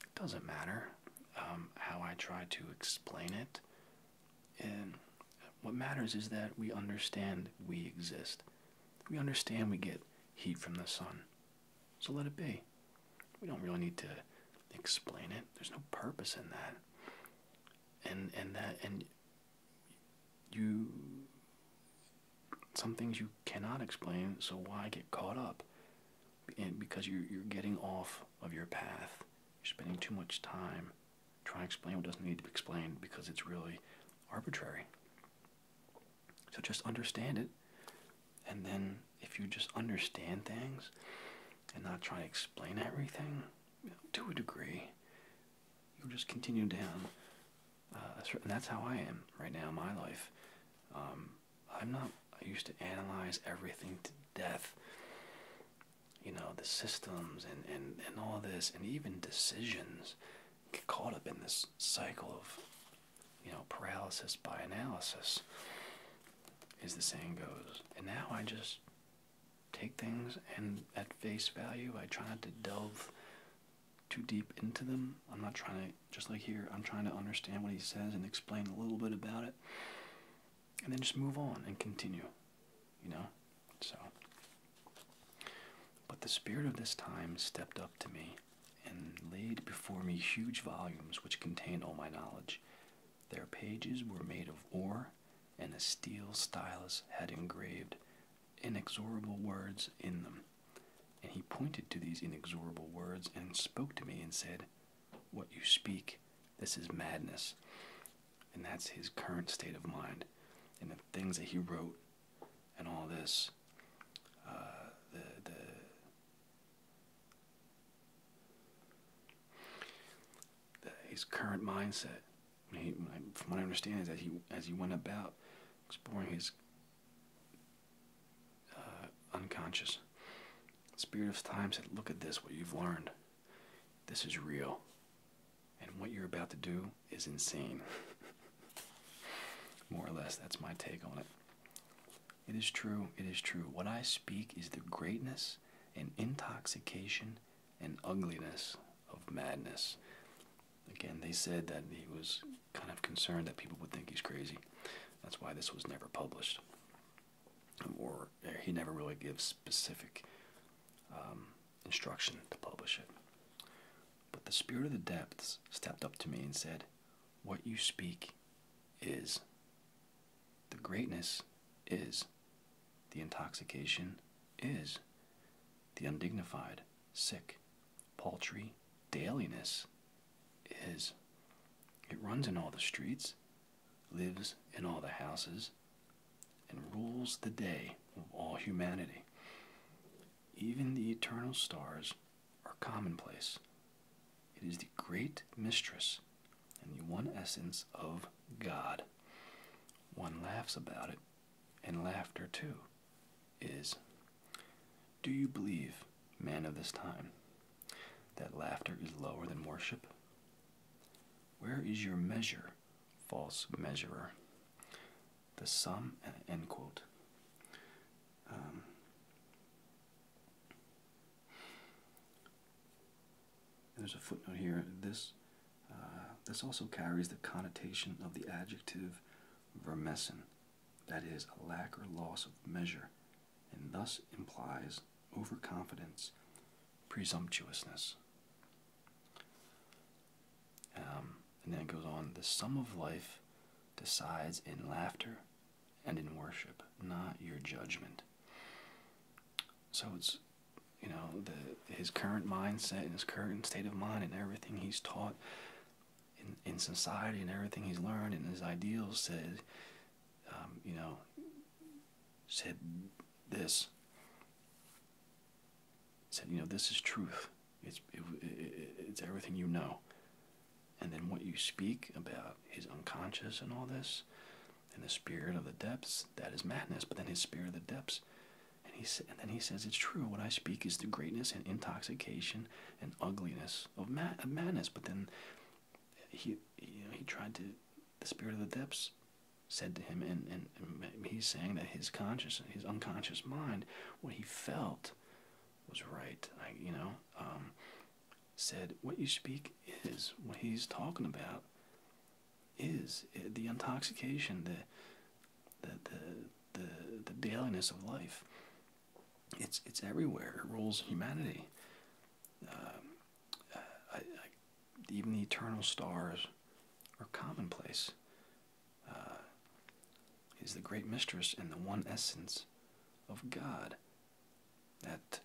It doesn't matter um, how I try to explain it. And what matters is that we understand we exist. We understand we get heat from the sun. So let it be. We don't really need to explain it. There's no purpose in that. And and that and you some things you cannot explain, so why get caught up? And because you're, you're getting off of your path, you're spending too much time trying to explain what doesn't need to be explained because it's really arbitrary. So just understand it, and then if you just understand things and not try to explain everything, to a degree, you'll just continue down uh, that's, and that's how I am right now in my life. Um, I'm not. I used to analyze everything to death. You know the systems and and and all this, and even decisions get caught up in this cycle of, you know, paralysis by analysis. As the saying goes, and now I just take things and at face value. I try not to delve too deep into them. I'm not trying to, just like here, I'm trying to understand what he says and explain a little bit about it. And then just move on and continue, you know? So. But the spirit of this time stepped up to me and laid before me huge volumes which contained all my knowledge. Their pages were made of ore, and a steel stylus had engraved inexorable words in them. And he pointed to these inexorable words and spoke to me and said, What you speak, this is madness. And that's his current state of mind. And the things that he wrote and all this, uh, the, the, his current mindset, from what I understand, is that he, as he went about exploring his uh, unconscious. Spirit of time said, Look at this, what you've learned. This is real. And what you're about to do is insane. *laughs* More or less, that's my take on it. It is true, it is true. What I speak is the greatness and intoxication and ugliness of madness. Again, they said that he was kind of concerned that people would think he's crazy. That's why this was never published. Or uh, he never really gives specific um, instruction to publish it. But the spirit of the depths stepped up to me and said, What you speak is. The greatness is. The intoxication is. The undignified, sick, paltry dailiness is it runs in all the streets, lives in all the houses, and rules the day of all humanity. Even the eternal stars are commonplace. It is the great mistress and the one essence of God. One laughs about it, and laughter too is Do you believe, man of this time, that laughter is lower than worship? Where is your measure, false measurer? The sum, uh, end quote. Um, there's a footnote here. This uh, this also carries the connotation of the adjective vermessen, that is, a lack or loss of measure, and thus implies overconfidence, presumptuousness. Um, and then goes on the sum of life decides in laughter and in worship, not your judgment. So it's, you know, the, his current mindset and his current state of mind and everything he's taught in, in society and everything he's learned and his ideals said, um, you know, said this. Said, you know, this is truth. It's, it's everything you know. And then what you speak about his unconscious and all this, and the spirit of the depths, that is madness. But then his spirit of the depths, and, he, and then he says, it's true. What I speak is the greatness and intoxication and ugliness of madness. But then he, you know, he tried to, the spirit of the depths said to him, and, and, he's saying that his conscious, his unconscious mind, what he felt was right. I you know, um, said, what you speak is, what he's talking about is eh, the intoxication, the, the, the, the, the dailiness of life it's it's everywhere. It rules humanity. Um, uh, even the eternal stars are commonplace. Uh, is the great mistress and the one essence of God. That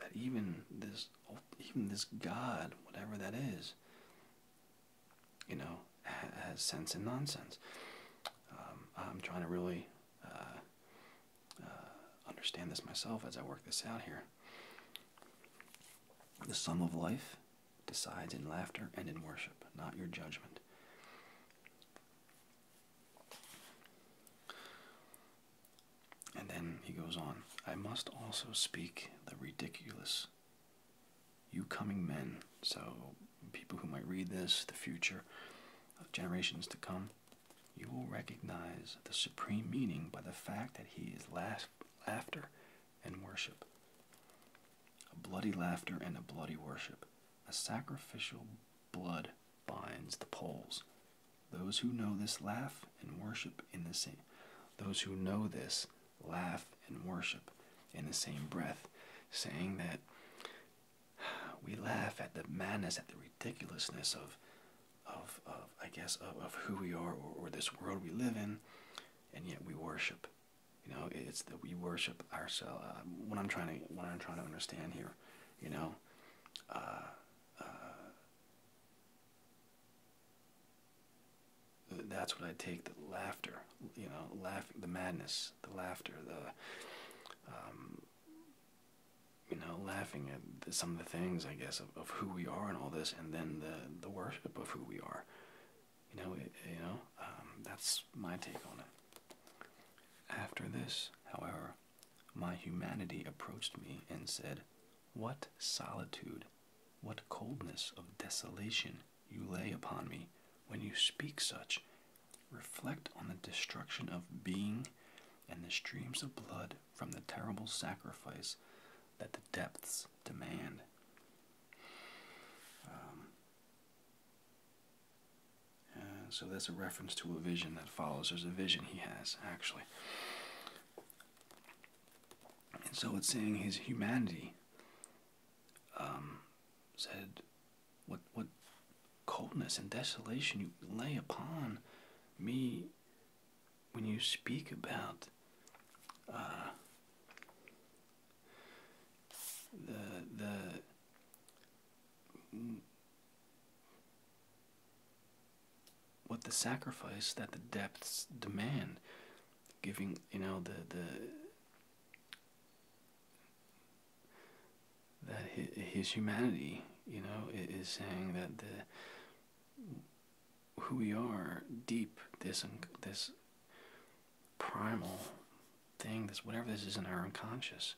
that even this even this God, whatever that is, you know, has sense and nonsense. Um, I'm trying to really uh, uh, understand this myself as I work this out here. The sum of life decides in laughter and in worship, not your judgment. And then he goes on I must also speak the ridiculous. You coming men so, people who might read this, the future of uh, generations to come, you will recognize the supreme meaning by the fact that he is laugh laughter and worship. A bloody laughter and a bloody worship. A sacrificial blood binds the poles. Those who know this laugh and worship in the same. Those who know this laugh and worship in the same breath, saying that we laugh at the madness, at the ridiculousness of, of, of I guess, of, who we are or, this world we live in, and yet we worship. You know, it's that we worship ourselves. Uh, what I'm trying to, what I'm trying to understand here, you know, uh, uh, that's what I take the laughter you know, laughing the madness, the laughter, the, um, you know, laughing at some of the things, I guess, of, who we are and all this, and then the, the worship of who we are. You know, you know, um, that's my take on it. After this, however, my humanity approached me and said, What solitude, what coldness of desolation you lay upon me when you speak such Reflect on the destruction of being and the streams of blood from the terrible sacrifice that the depths demand. Um, uh, so that's a reference to a vision that follows. There's a vision he has, actually. And so it's saying his humanity um, said, what what coldness and desolation you lay upon me when you speak about uh, the the mm, what the sacrifice that the depths demand giving you know the the that his, humanity, you know, is saying that the who we are, deep this this primal thing, this whatever this is in our unconscious,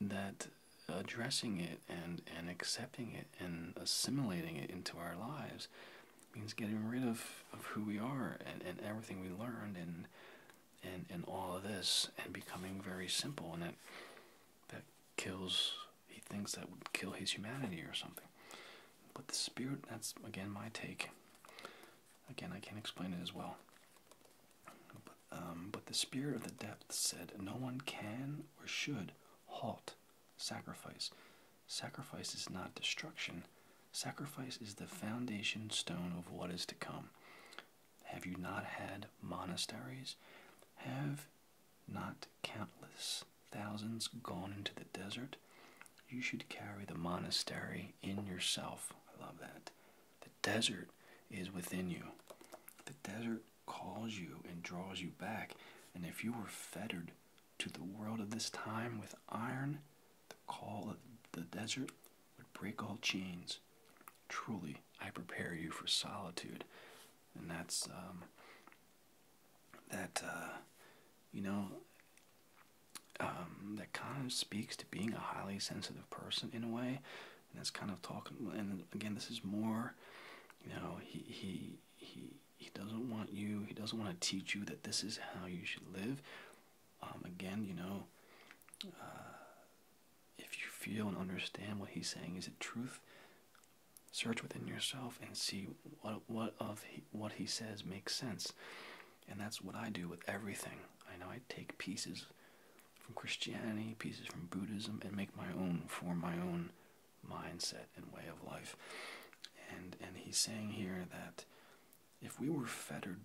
that addressing it and and accepting it and assimilating it into our lives means getting rid of, of who we are and, and everything we learned and and and all of this and becoming very simple and that that kills he thinks that would kill his humanity or something. But the spirit that's again my take. Again I can't explain it as well. But, um, but the spirit of the depths said no one can or should halt sacrifice. Sacrifice is not destruction. Sacrifice is the foundation stone of what is to come. Have you not had monasteries? Have not countless thousands gone into the desert? You should carry the monastery in yourself. I love that. The desert is within you. The desert calls you and draws you back. And if you were fettered to the world of this time with iron, the call of the desert would break all chains. Truly, I prepare you for solitude. And that's, um, that, uh, you know, um, that kind of speaks to being a highly sensitive person in a way. And that's kind of talking, and again, this is more, you know, he, he, he, he doesn't want you, he doesn't want to teach you that this is how you should live. Um, again, you know, uh, if you feel and understand what he's saying, is it truth? Search within yourself and see what what of he, what he says makes sense, and that's what I do with everything. I know I take pieces from Christianity, pieces from Buddhism, and make my own for my own mindset and way of life. And and he's saying here that if we were fettered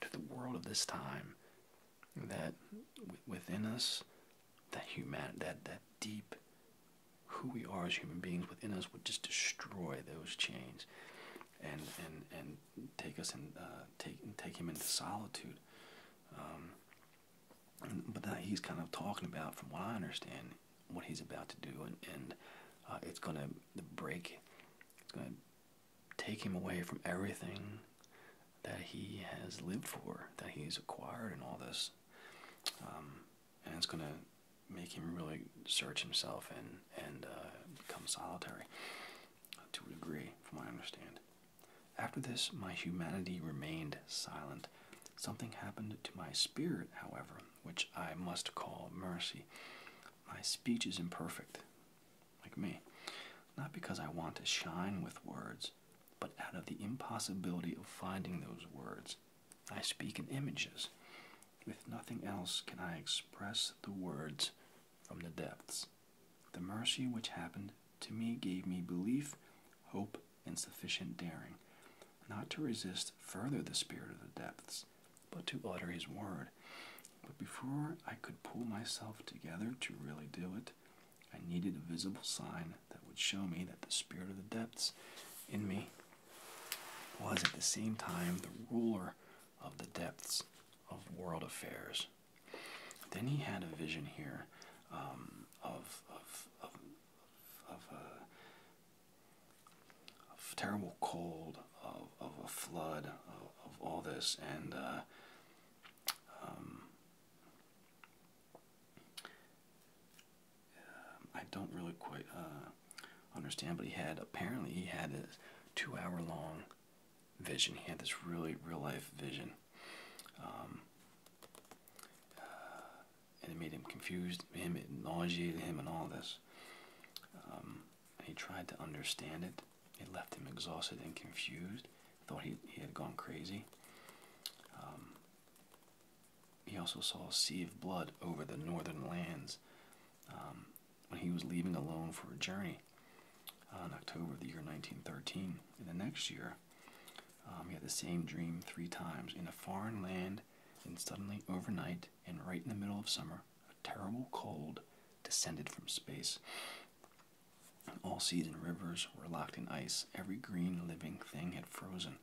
to the world of this time, that within us, that human, that that deep, who we are as human beings within us would just destroy those chains, and and and take us and uh, take and take him into solitude. Um, but that he's kind of talking about, from what I understand, what he's about to do, and and uh, it's gonna break. It's gonna take him away from everything that he has lived for, that he's acquired, and all this. Um, and it's going to make him really search himself and, and uh, become solitary to a degree, from my I understand. After this, my humanity remained silent. Something happened to my spirit, however, which I must call mercy. My speech is imperfect, like me, not because I want to shine with words, but out of the impossibility of finding those words. I speak in images. With nothing else can I express the words from the depths. The mercy which happened to me gave me belief, hope, and sufficient daring, not to resist further the spirit of the depths, but to utter his word. But before I could pull myself together to really do it, I needed a visible sign that would show me that the spirit of the depths in me was at the same time the ruler of the depths of world affairs. Then he had a vision here um, of, of, of, of uh, of terrible cold, of, a flood, of, all this, and uh, um, I don't really quite uh, understand, but he had apparently he had a two-hour-long vision. He had this really real-life vision. Um, uh, and it made him confused, him it nauseated him, and all this. Um, when he tried to understand it, it left him exhausted and confused. Thought he, he had gone crazy. Um, he also saw a sea of blood over the northern lands um, when he was leaving alone for a journey uh, in October of the year 1913. In the next year, um, he had the same dream three times in a foreign land, and suddenly overnight, and right in the middle of summer, a terrible cold descended from space. All seas and rivers were locked in ice. Every green living thing had frozen.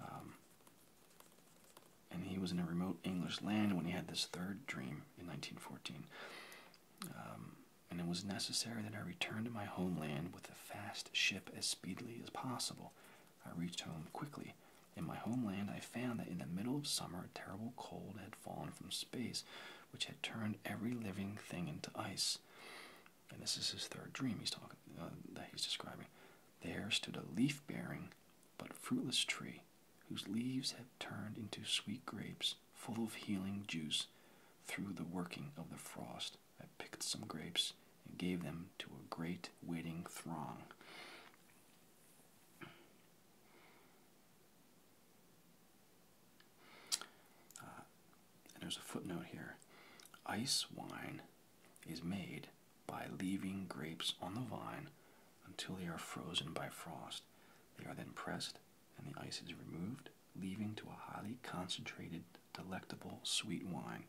Um, and he was in a remote English land when he had this third dream in 1914. Um, and it was necessary that I return to my homeland with a fast ship as speedily as possible. I reached home quickly, in my homeland, I found that in the middle of summer, a terrible cold had fallen from space, which had turned every living thing into ice. And this is his third dream he's talking uh, that he's describing. There stood a leaf-bearing but fruitless tree, whose leaves had turned into sweet grapes, full of healing juice, through the working of the frost. I picked some grapes and gave them to a great waiting throng. Uh, there's a footnote here. Ice wine is made by leaving grapes on the vine until they are frozen by frost. They are then pressed and the ice is removed, leaving to a highly concentrated, delectable, sweet wine.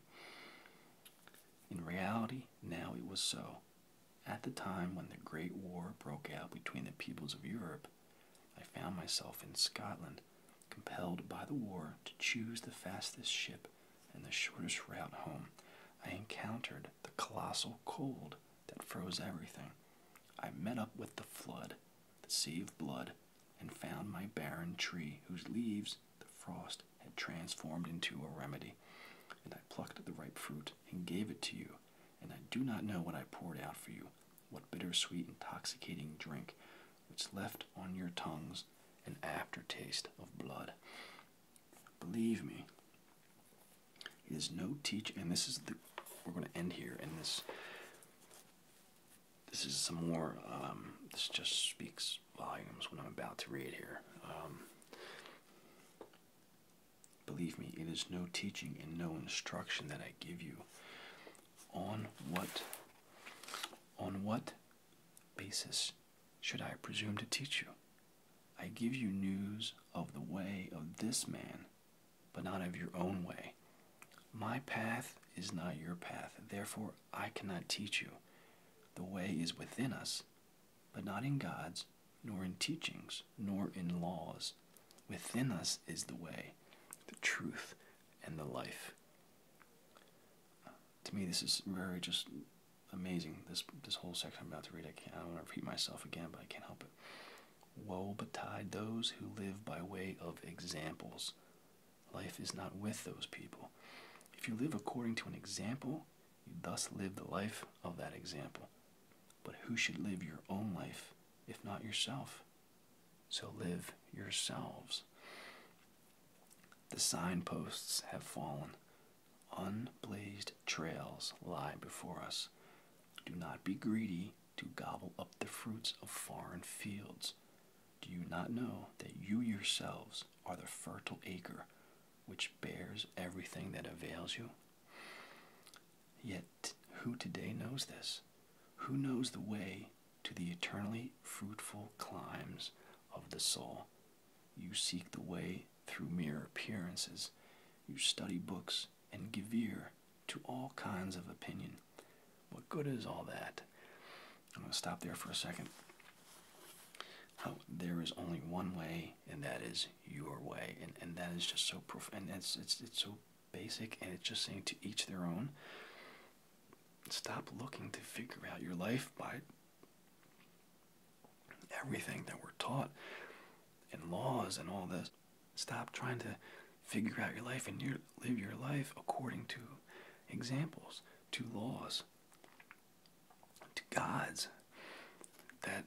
In reality, now it was so. At the time when the Great War broke out between the peoples of Europe, I found myself in Scotland, compelled by the war to choose the fastest ship and the shortest route home. I encountered the colossal cold that froze everything. I met up with the flood, the sea of blood, and found my barren tree whose leaves the frost had transformed into a remedy. And I plucked the ripe fruit and gave it to you, and I do not know what I poured out for you, what bittersweet, intoxicating drink, which left on your tongues an aftertaste of blood. Believe me, it is no teach, and this is the. We're going to end here, and this. This is some more. Um, this just speaks volumes What I'm about to read here. Um, Believe me, it is no teaching and no instruction that I give you. On what on what basis should I presume to teach you? I give you news of the way of this man, but not of your own way. My path is not your path, therefore I cannot teach you. The way is within us, but not in God's, nor in teachings, nor in laws. Within us is the way, the truth, and the life. Uh, to me, this is very just amazing. This this whole section I'm about to read, I can't. I don't want to repeat myself again, but I can't help it. Woe betide those who live by way of examples. Life is not with those people. If you live according to an example, you thus live the life of that example. But who should live your own life if not yourself? So live yourselves. The signposts have fallen. Unblazed trails lie before us. Do not be greedy to gobble up the fruits of foreign fields. Do you not know that you yourselves are the fertile acre which bears everything that avails you? Yet, who today knows this? Who knows the way to the eternally fruitful climes of the soul? You seek the way through mere appearances. You study books and give ear to all kinds of opinion. What good is all that? I'm going to stop there for a second. Oh, there is only one way and that is your way, and and that is just so profound. It's it's it's so basic, and it's just saying to each their own. Stop looking to figure out your life by everything that we're taught, and laws and all this. Stop trying to figure out your life and you live your life according to examples, to laws, to gods that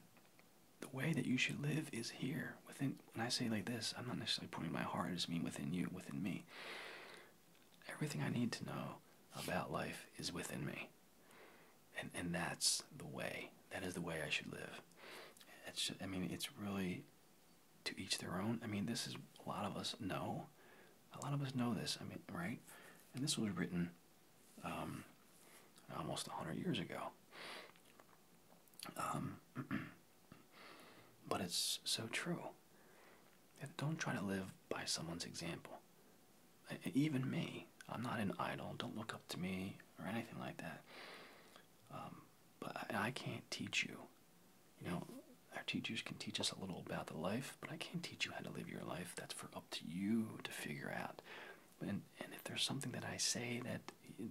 the way that you should live is here within when I say like this, I'm not necessarily pointing my heart, I just mean within you, within me. Everything I need to know about life is within me. And and that's the way. That is the way I should live. It's I mean, it's really to each their own. I mean, this is a lot of us know. A lot of us know this. I mean, right? And this was written um, almost 100 years ago. Um, *clears throat* but it's so true. Don't try to live by someone's example. Even me, I'm not an idol. Don't look up to me or anything like that. Um, but I can't teach you. You know, our teachers can teach us a little about the life, but I can't teach you how to live your life. That's for up to you to figure out and and if there's something that I say that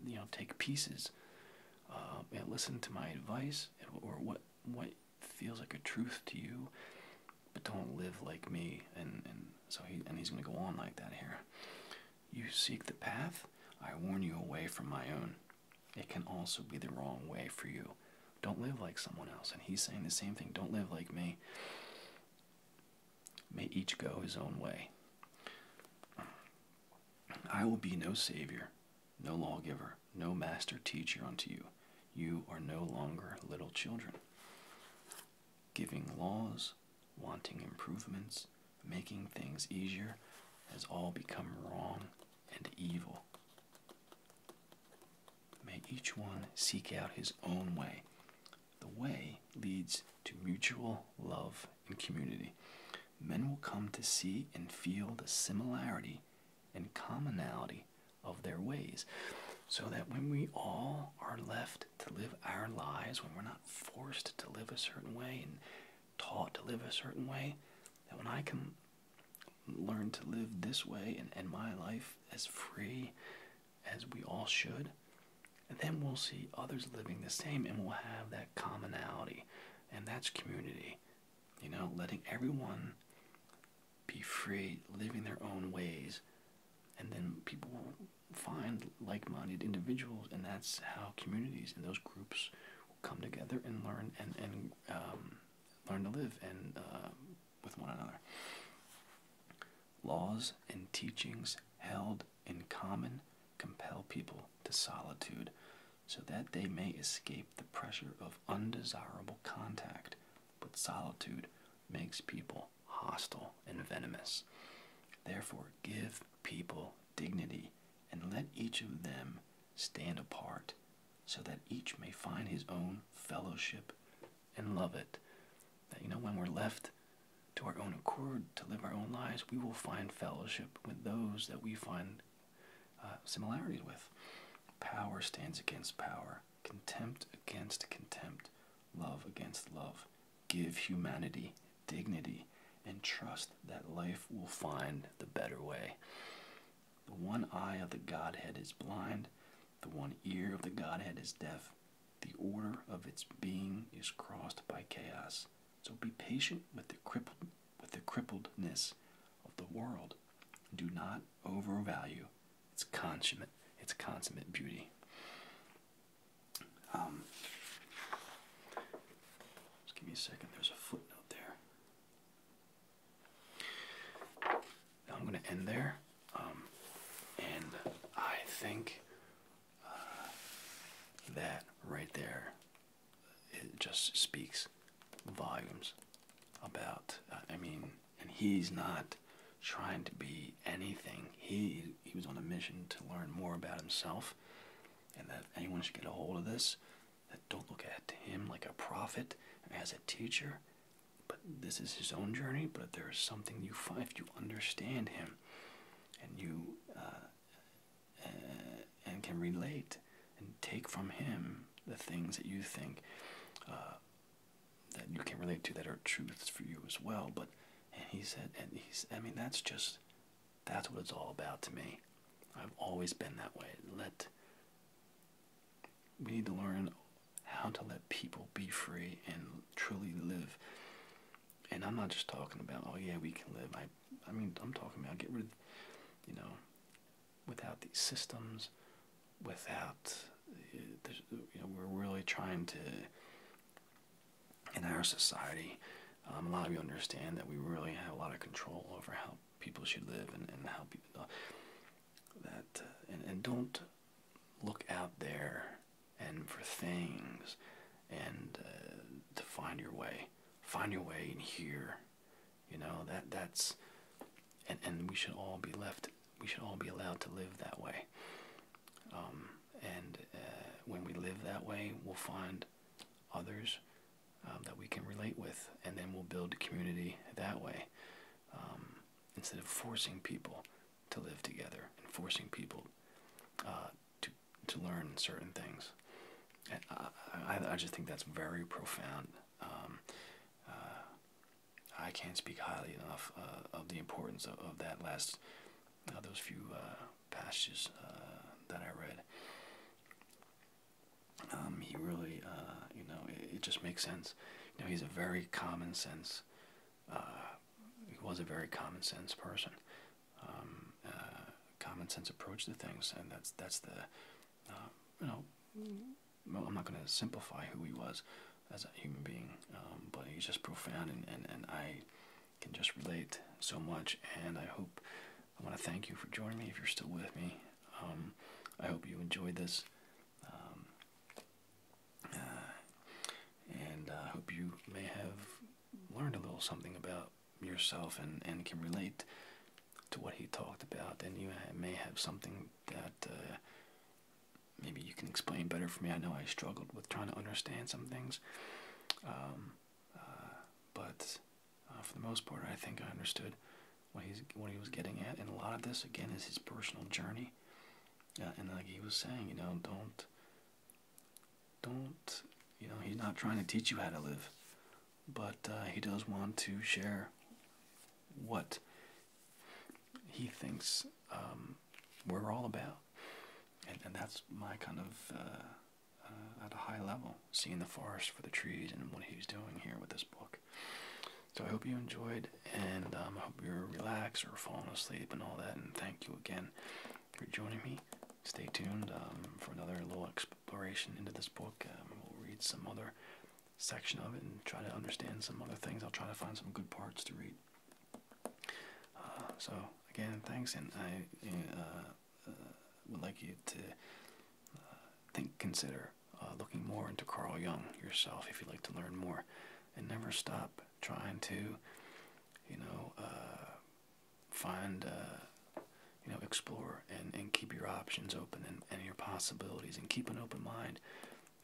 you know take pieces uh, and listen to my advice or what what feels like a truth to you, but don't live like me and and so he and he's gonna go on like that here. You seek the path, I warn you away from my own. It can also be the wrong way for you. Don't live like someone else. And he's saying the same thing. Don't live like me may each go his own way. I will be no Savior, no lawgiver, no master teacher unto you. You are no longer little children. Giving laws, wanting improvements, making things easier has all become wrong and evil. May each one seek out his own way the way leads to mutual love and community. Men will come to see and feel the similarity and commonality of their ways, so that when we all are left to live our lives, when we're not forced to live a certain way and taught to live a certain way, that when I can learn to live this way and end my life as free as we all should, and then we'll see others living the same and we'll have that commonality. And that's community. You know, letting everyone be free, living their own ways. And then people will find like minded individuals, and that's how communities and those groups will come together and learn and, and um, learn to live and uh, with one another laws and teachings held in common compel people to solitude so that they may escape the pressure of undesirable contact but solitude makes people hostile and venomous therefore give people dignity and let each of them stand apart so that each may find his own fellowship and love it. That, you know, when we're left to our own accord to live our own lives, we will find fellowship with those that we find uh, similarities with. Power stands against power, contempt against contempt, love against love. Give humanity dignity and trust that life will find the better way. The one eye of the Godhead is blind, the one ear of the Godhead is deaf, the order of its being is crossed by chaos. So be patient with the crippled with the crippledness of the world. Do not overvalue its consummate its consummate beauty. Um, just give me a second. There's a footnote there. I'm going to end there, um, and I think uh, that right there, it just speaks volumes about. Uh, I mean, and he's not trying to be anything. He he was on a mission to learn more about himself, and that anyone should get a hold of this. That don't look at him like a prophet as a teacher. But this is his own journey. But there is something you find you understand him and you uh, uh, and can relate and take from him the things that you think uh, that you can relate to that are truths for you as well. But and he said, and he's, I mean, that's just that's what it's all about to me. I've always been that way. Let we need to learn how to let people be free and truly live and I'm not just talking about, oh yeah, we can live. I, I mean, I'm talking about get rid, of, you know, without these systems, without, uh, you know, we're really trying to, in our society, um, a lot of you understand that we really have a lot of control over how people should live and, and how people, uh, that, uh, and, and don't look out there and for things and uh, to find your way find your way in here you know that that's and and we should all be left we should all be allowed to live that way um, and uh, when we live that way we'll find others um, that we can relate with and then we'll build community that way um, instead of forcing people to live together and forcing people uh, to to learn certain things. And I, I, just think that's very profound. Um, uh, I can't speak highly enough uh, of the importance of, that last those few passages that I read. Um, he really, you know, it, it, just makes sense. You know, he's a very common sense uh, he was a very common sense person. Um, uh, common sense approach to things, and that's that's the uh, you know I'm not going to simplify who he was as a human being, um, but he's just profound, and, and and I can just relate so much. And I hope I want to thank you for joining me. If you're still with me, um, I hope you enjoyed this. Um, uh, and I uh, hope you may have learned a little something about yourself and, and can relate to what he talked about. And you may have something that uh, maybe you can explain better for me. I know I struggled with trying to understand some things. Um, but for the most part, I think I understood what, he's, what he was getting at. And a lot of this, again, is his personal journey. and like he was saying, you know, don't don't you know he's not trying to teach you how to live but uh, he does want to share what he thinks um, we're all about and, that's my kind of uh, uh, at a high level seeing the forest for the trees and what he's doing here with this book so i hope you enjoyed and um, i hope you're relaxed or falling asleep and all that and thank you again for joining me. Stay tuned um, for another little exploration into this book. Um, we'll read some other section of it and try to understand some other things. I'll try to find some good parts to read. Uh, so again, thanks, and I uh, uh, would like you to think, consider looking more into Carl Young yourself if you'd like to learn more, and never stop trying to, you know, uh, find, uh, you know, explore and, and keep your options open and, and your possibilities and keep an open mind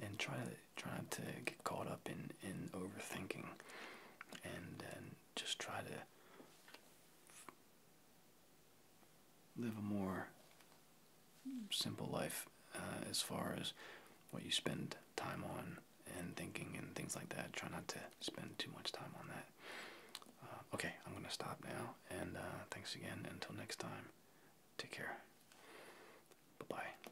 and try to try not to get caught up in, in overthinking and, just try to live a more simple life uh, as far as what you spend time on and thinking and things like that. Try not to spend too much time on that. Uh, okay, I'm going to stop now. And uh, thanks again. Until next time, take care. Bye bye.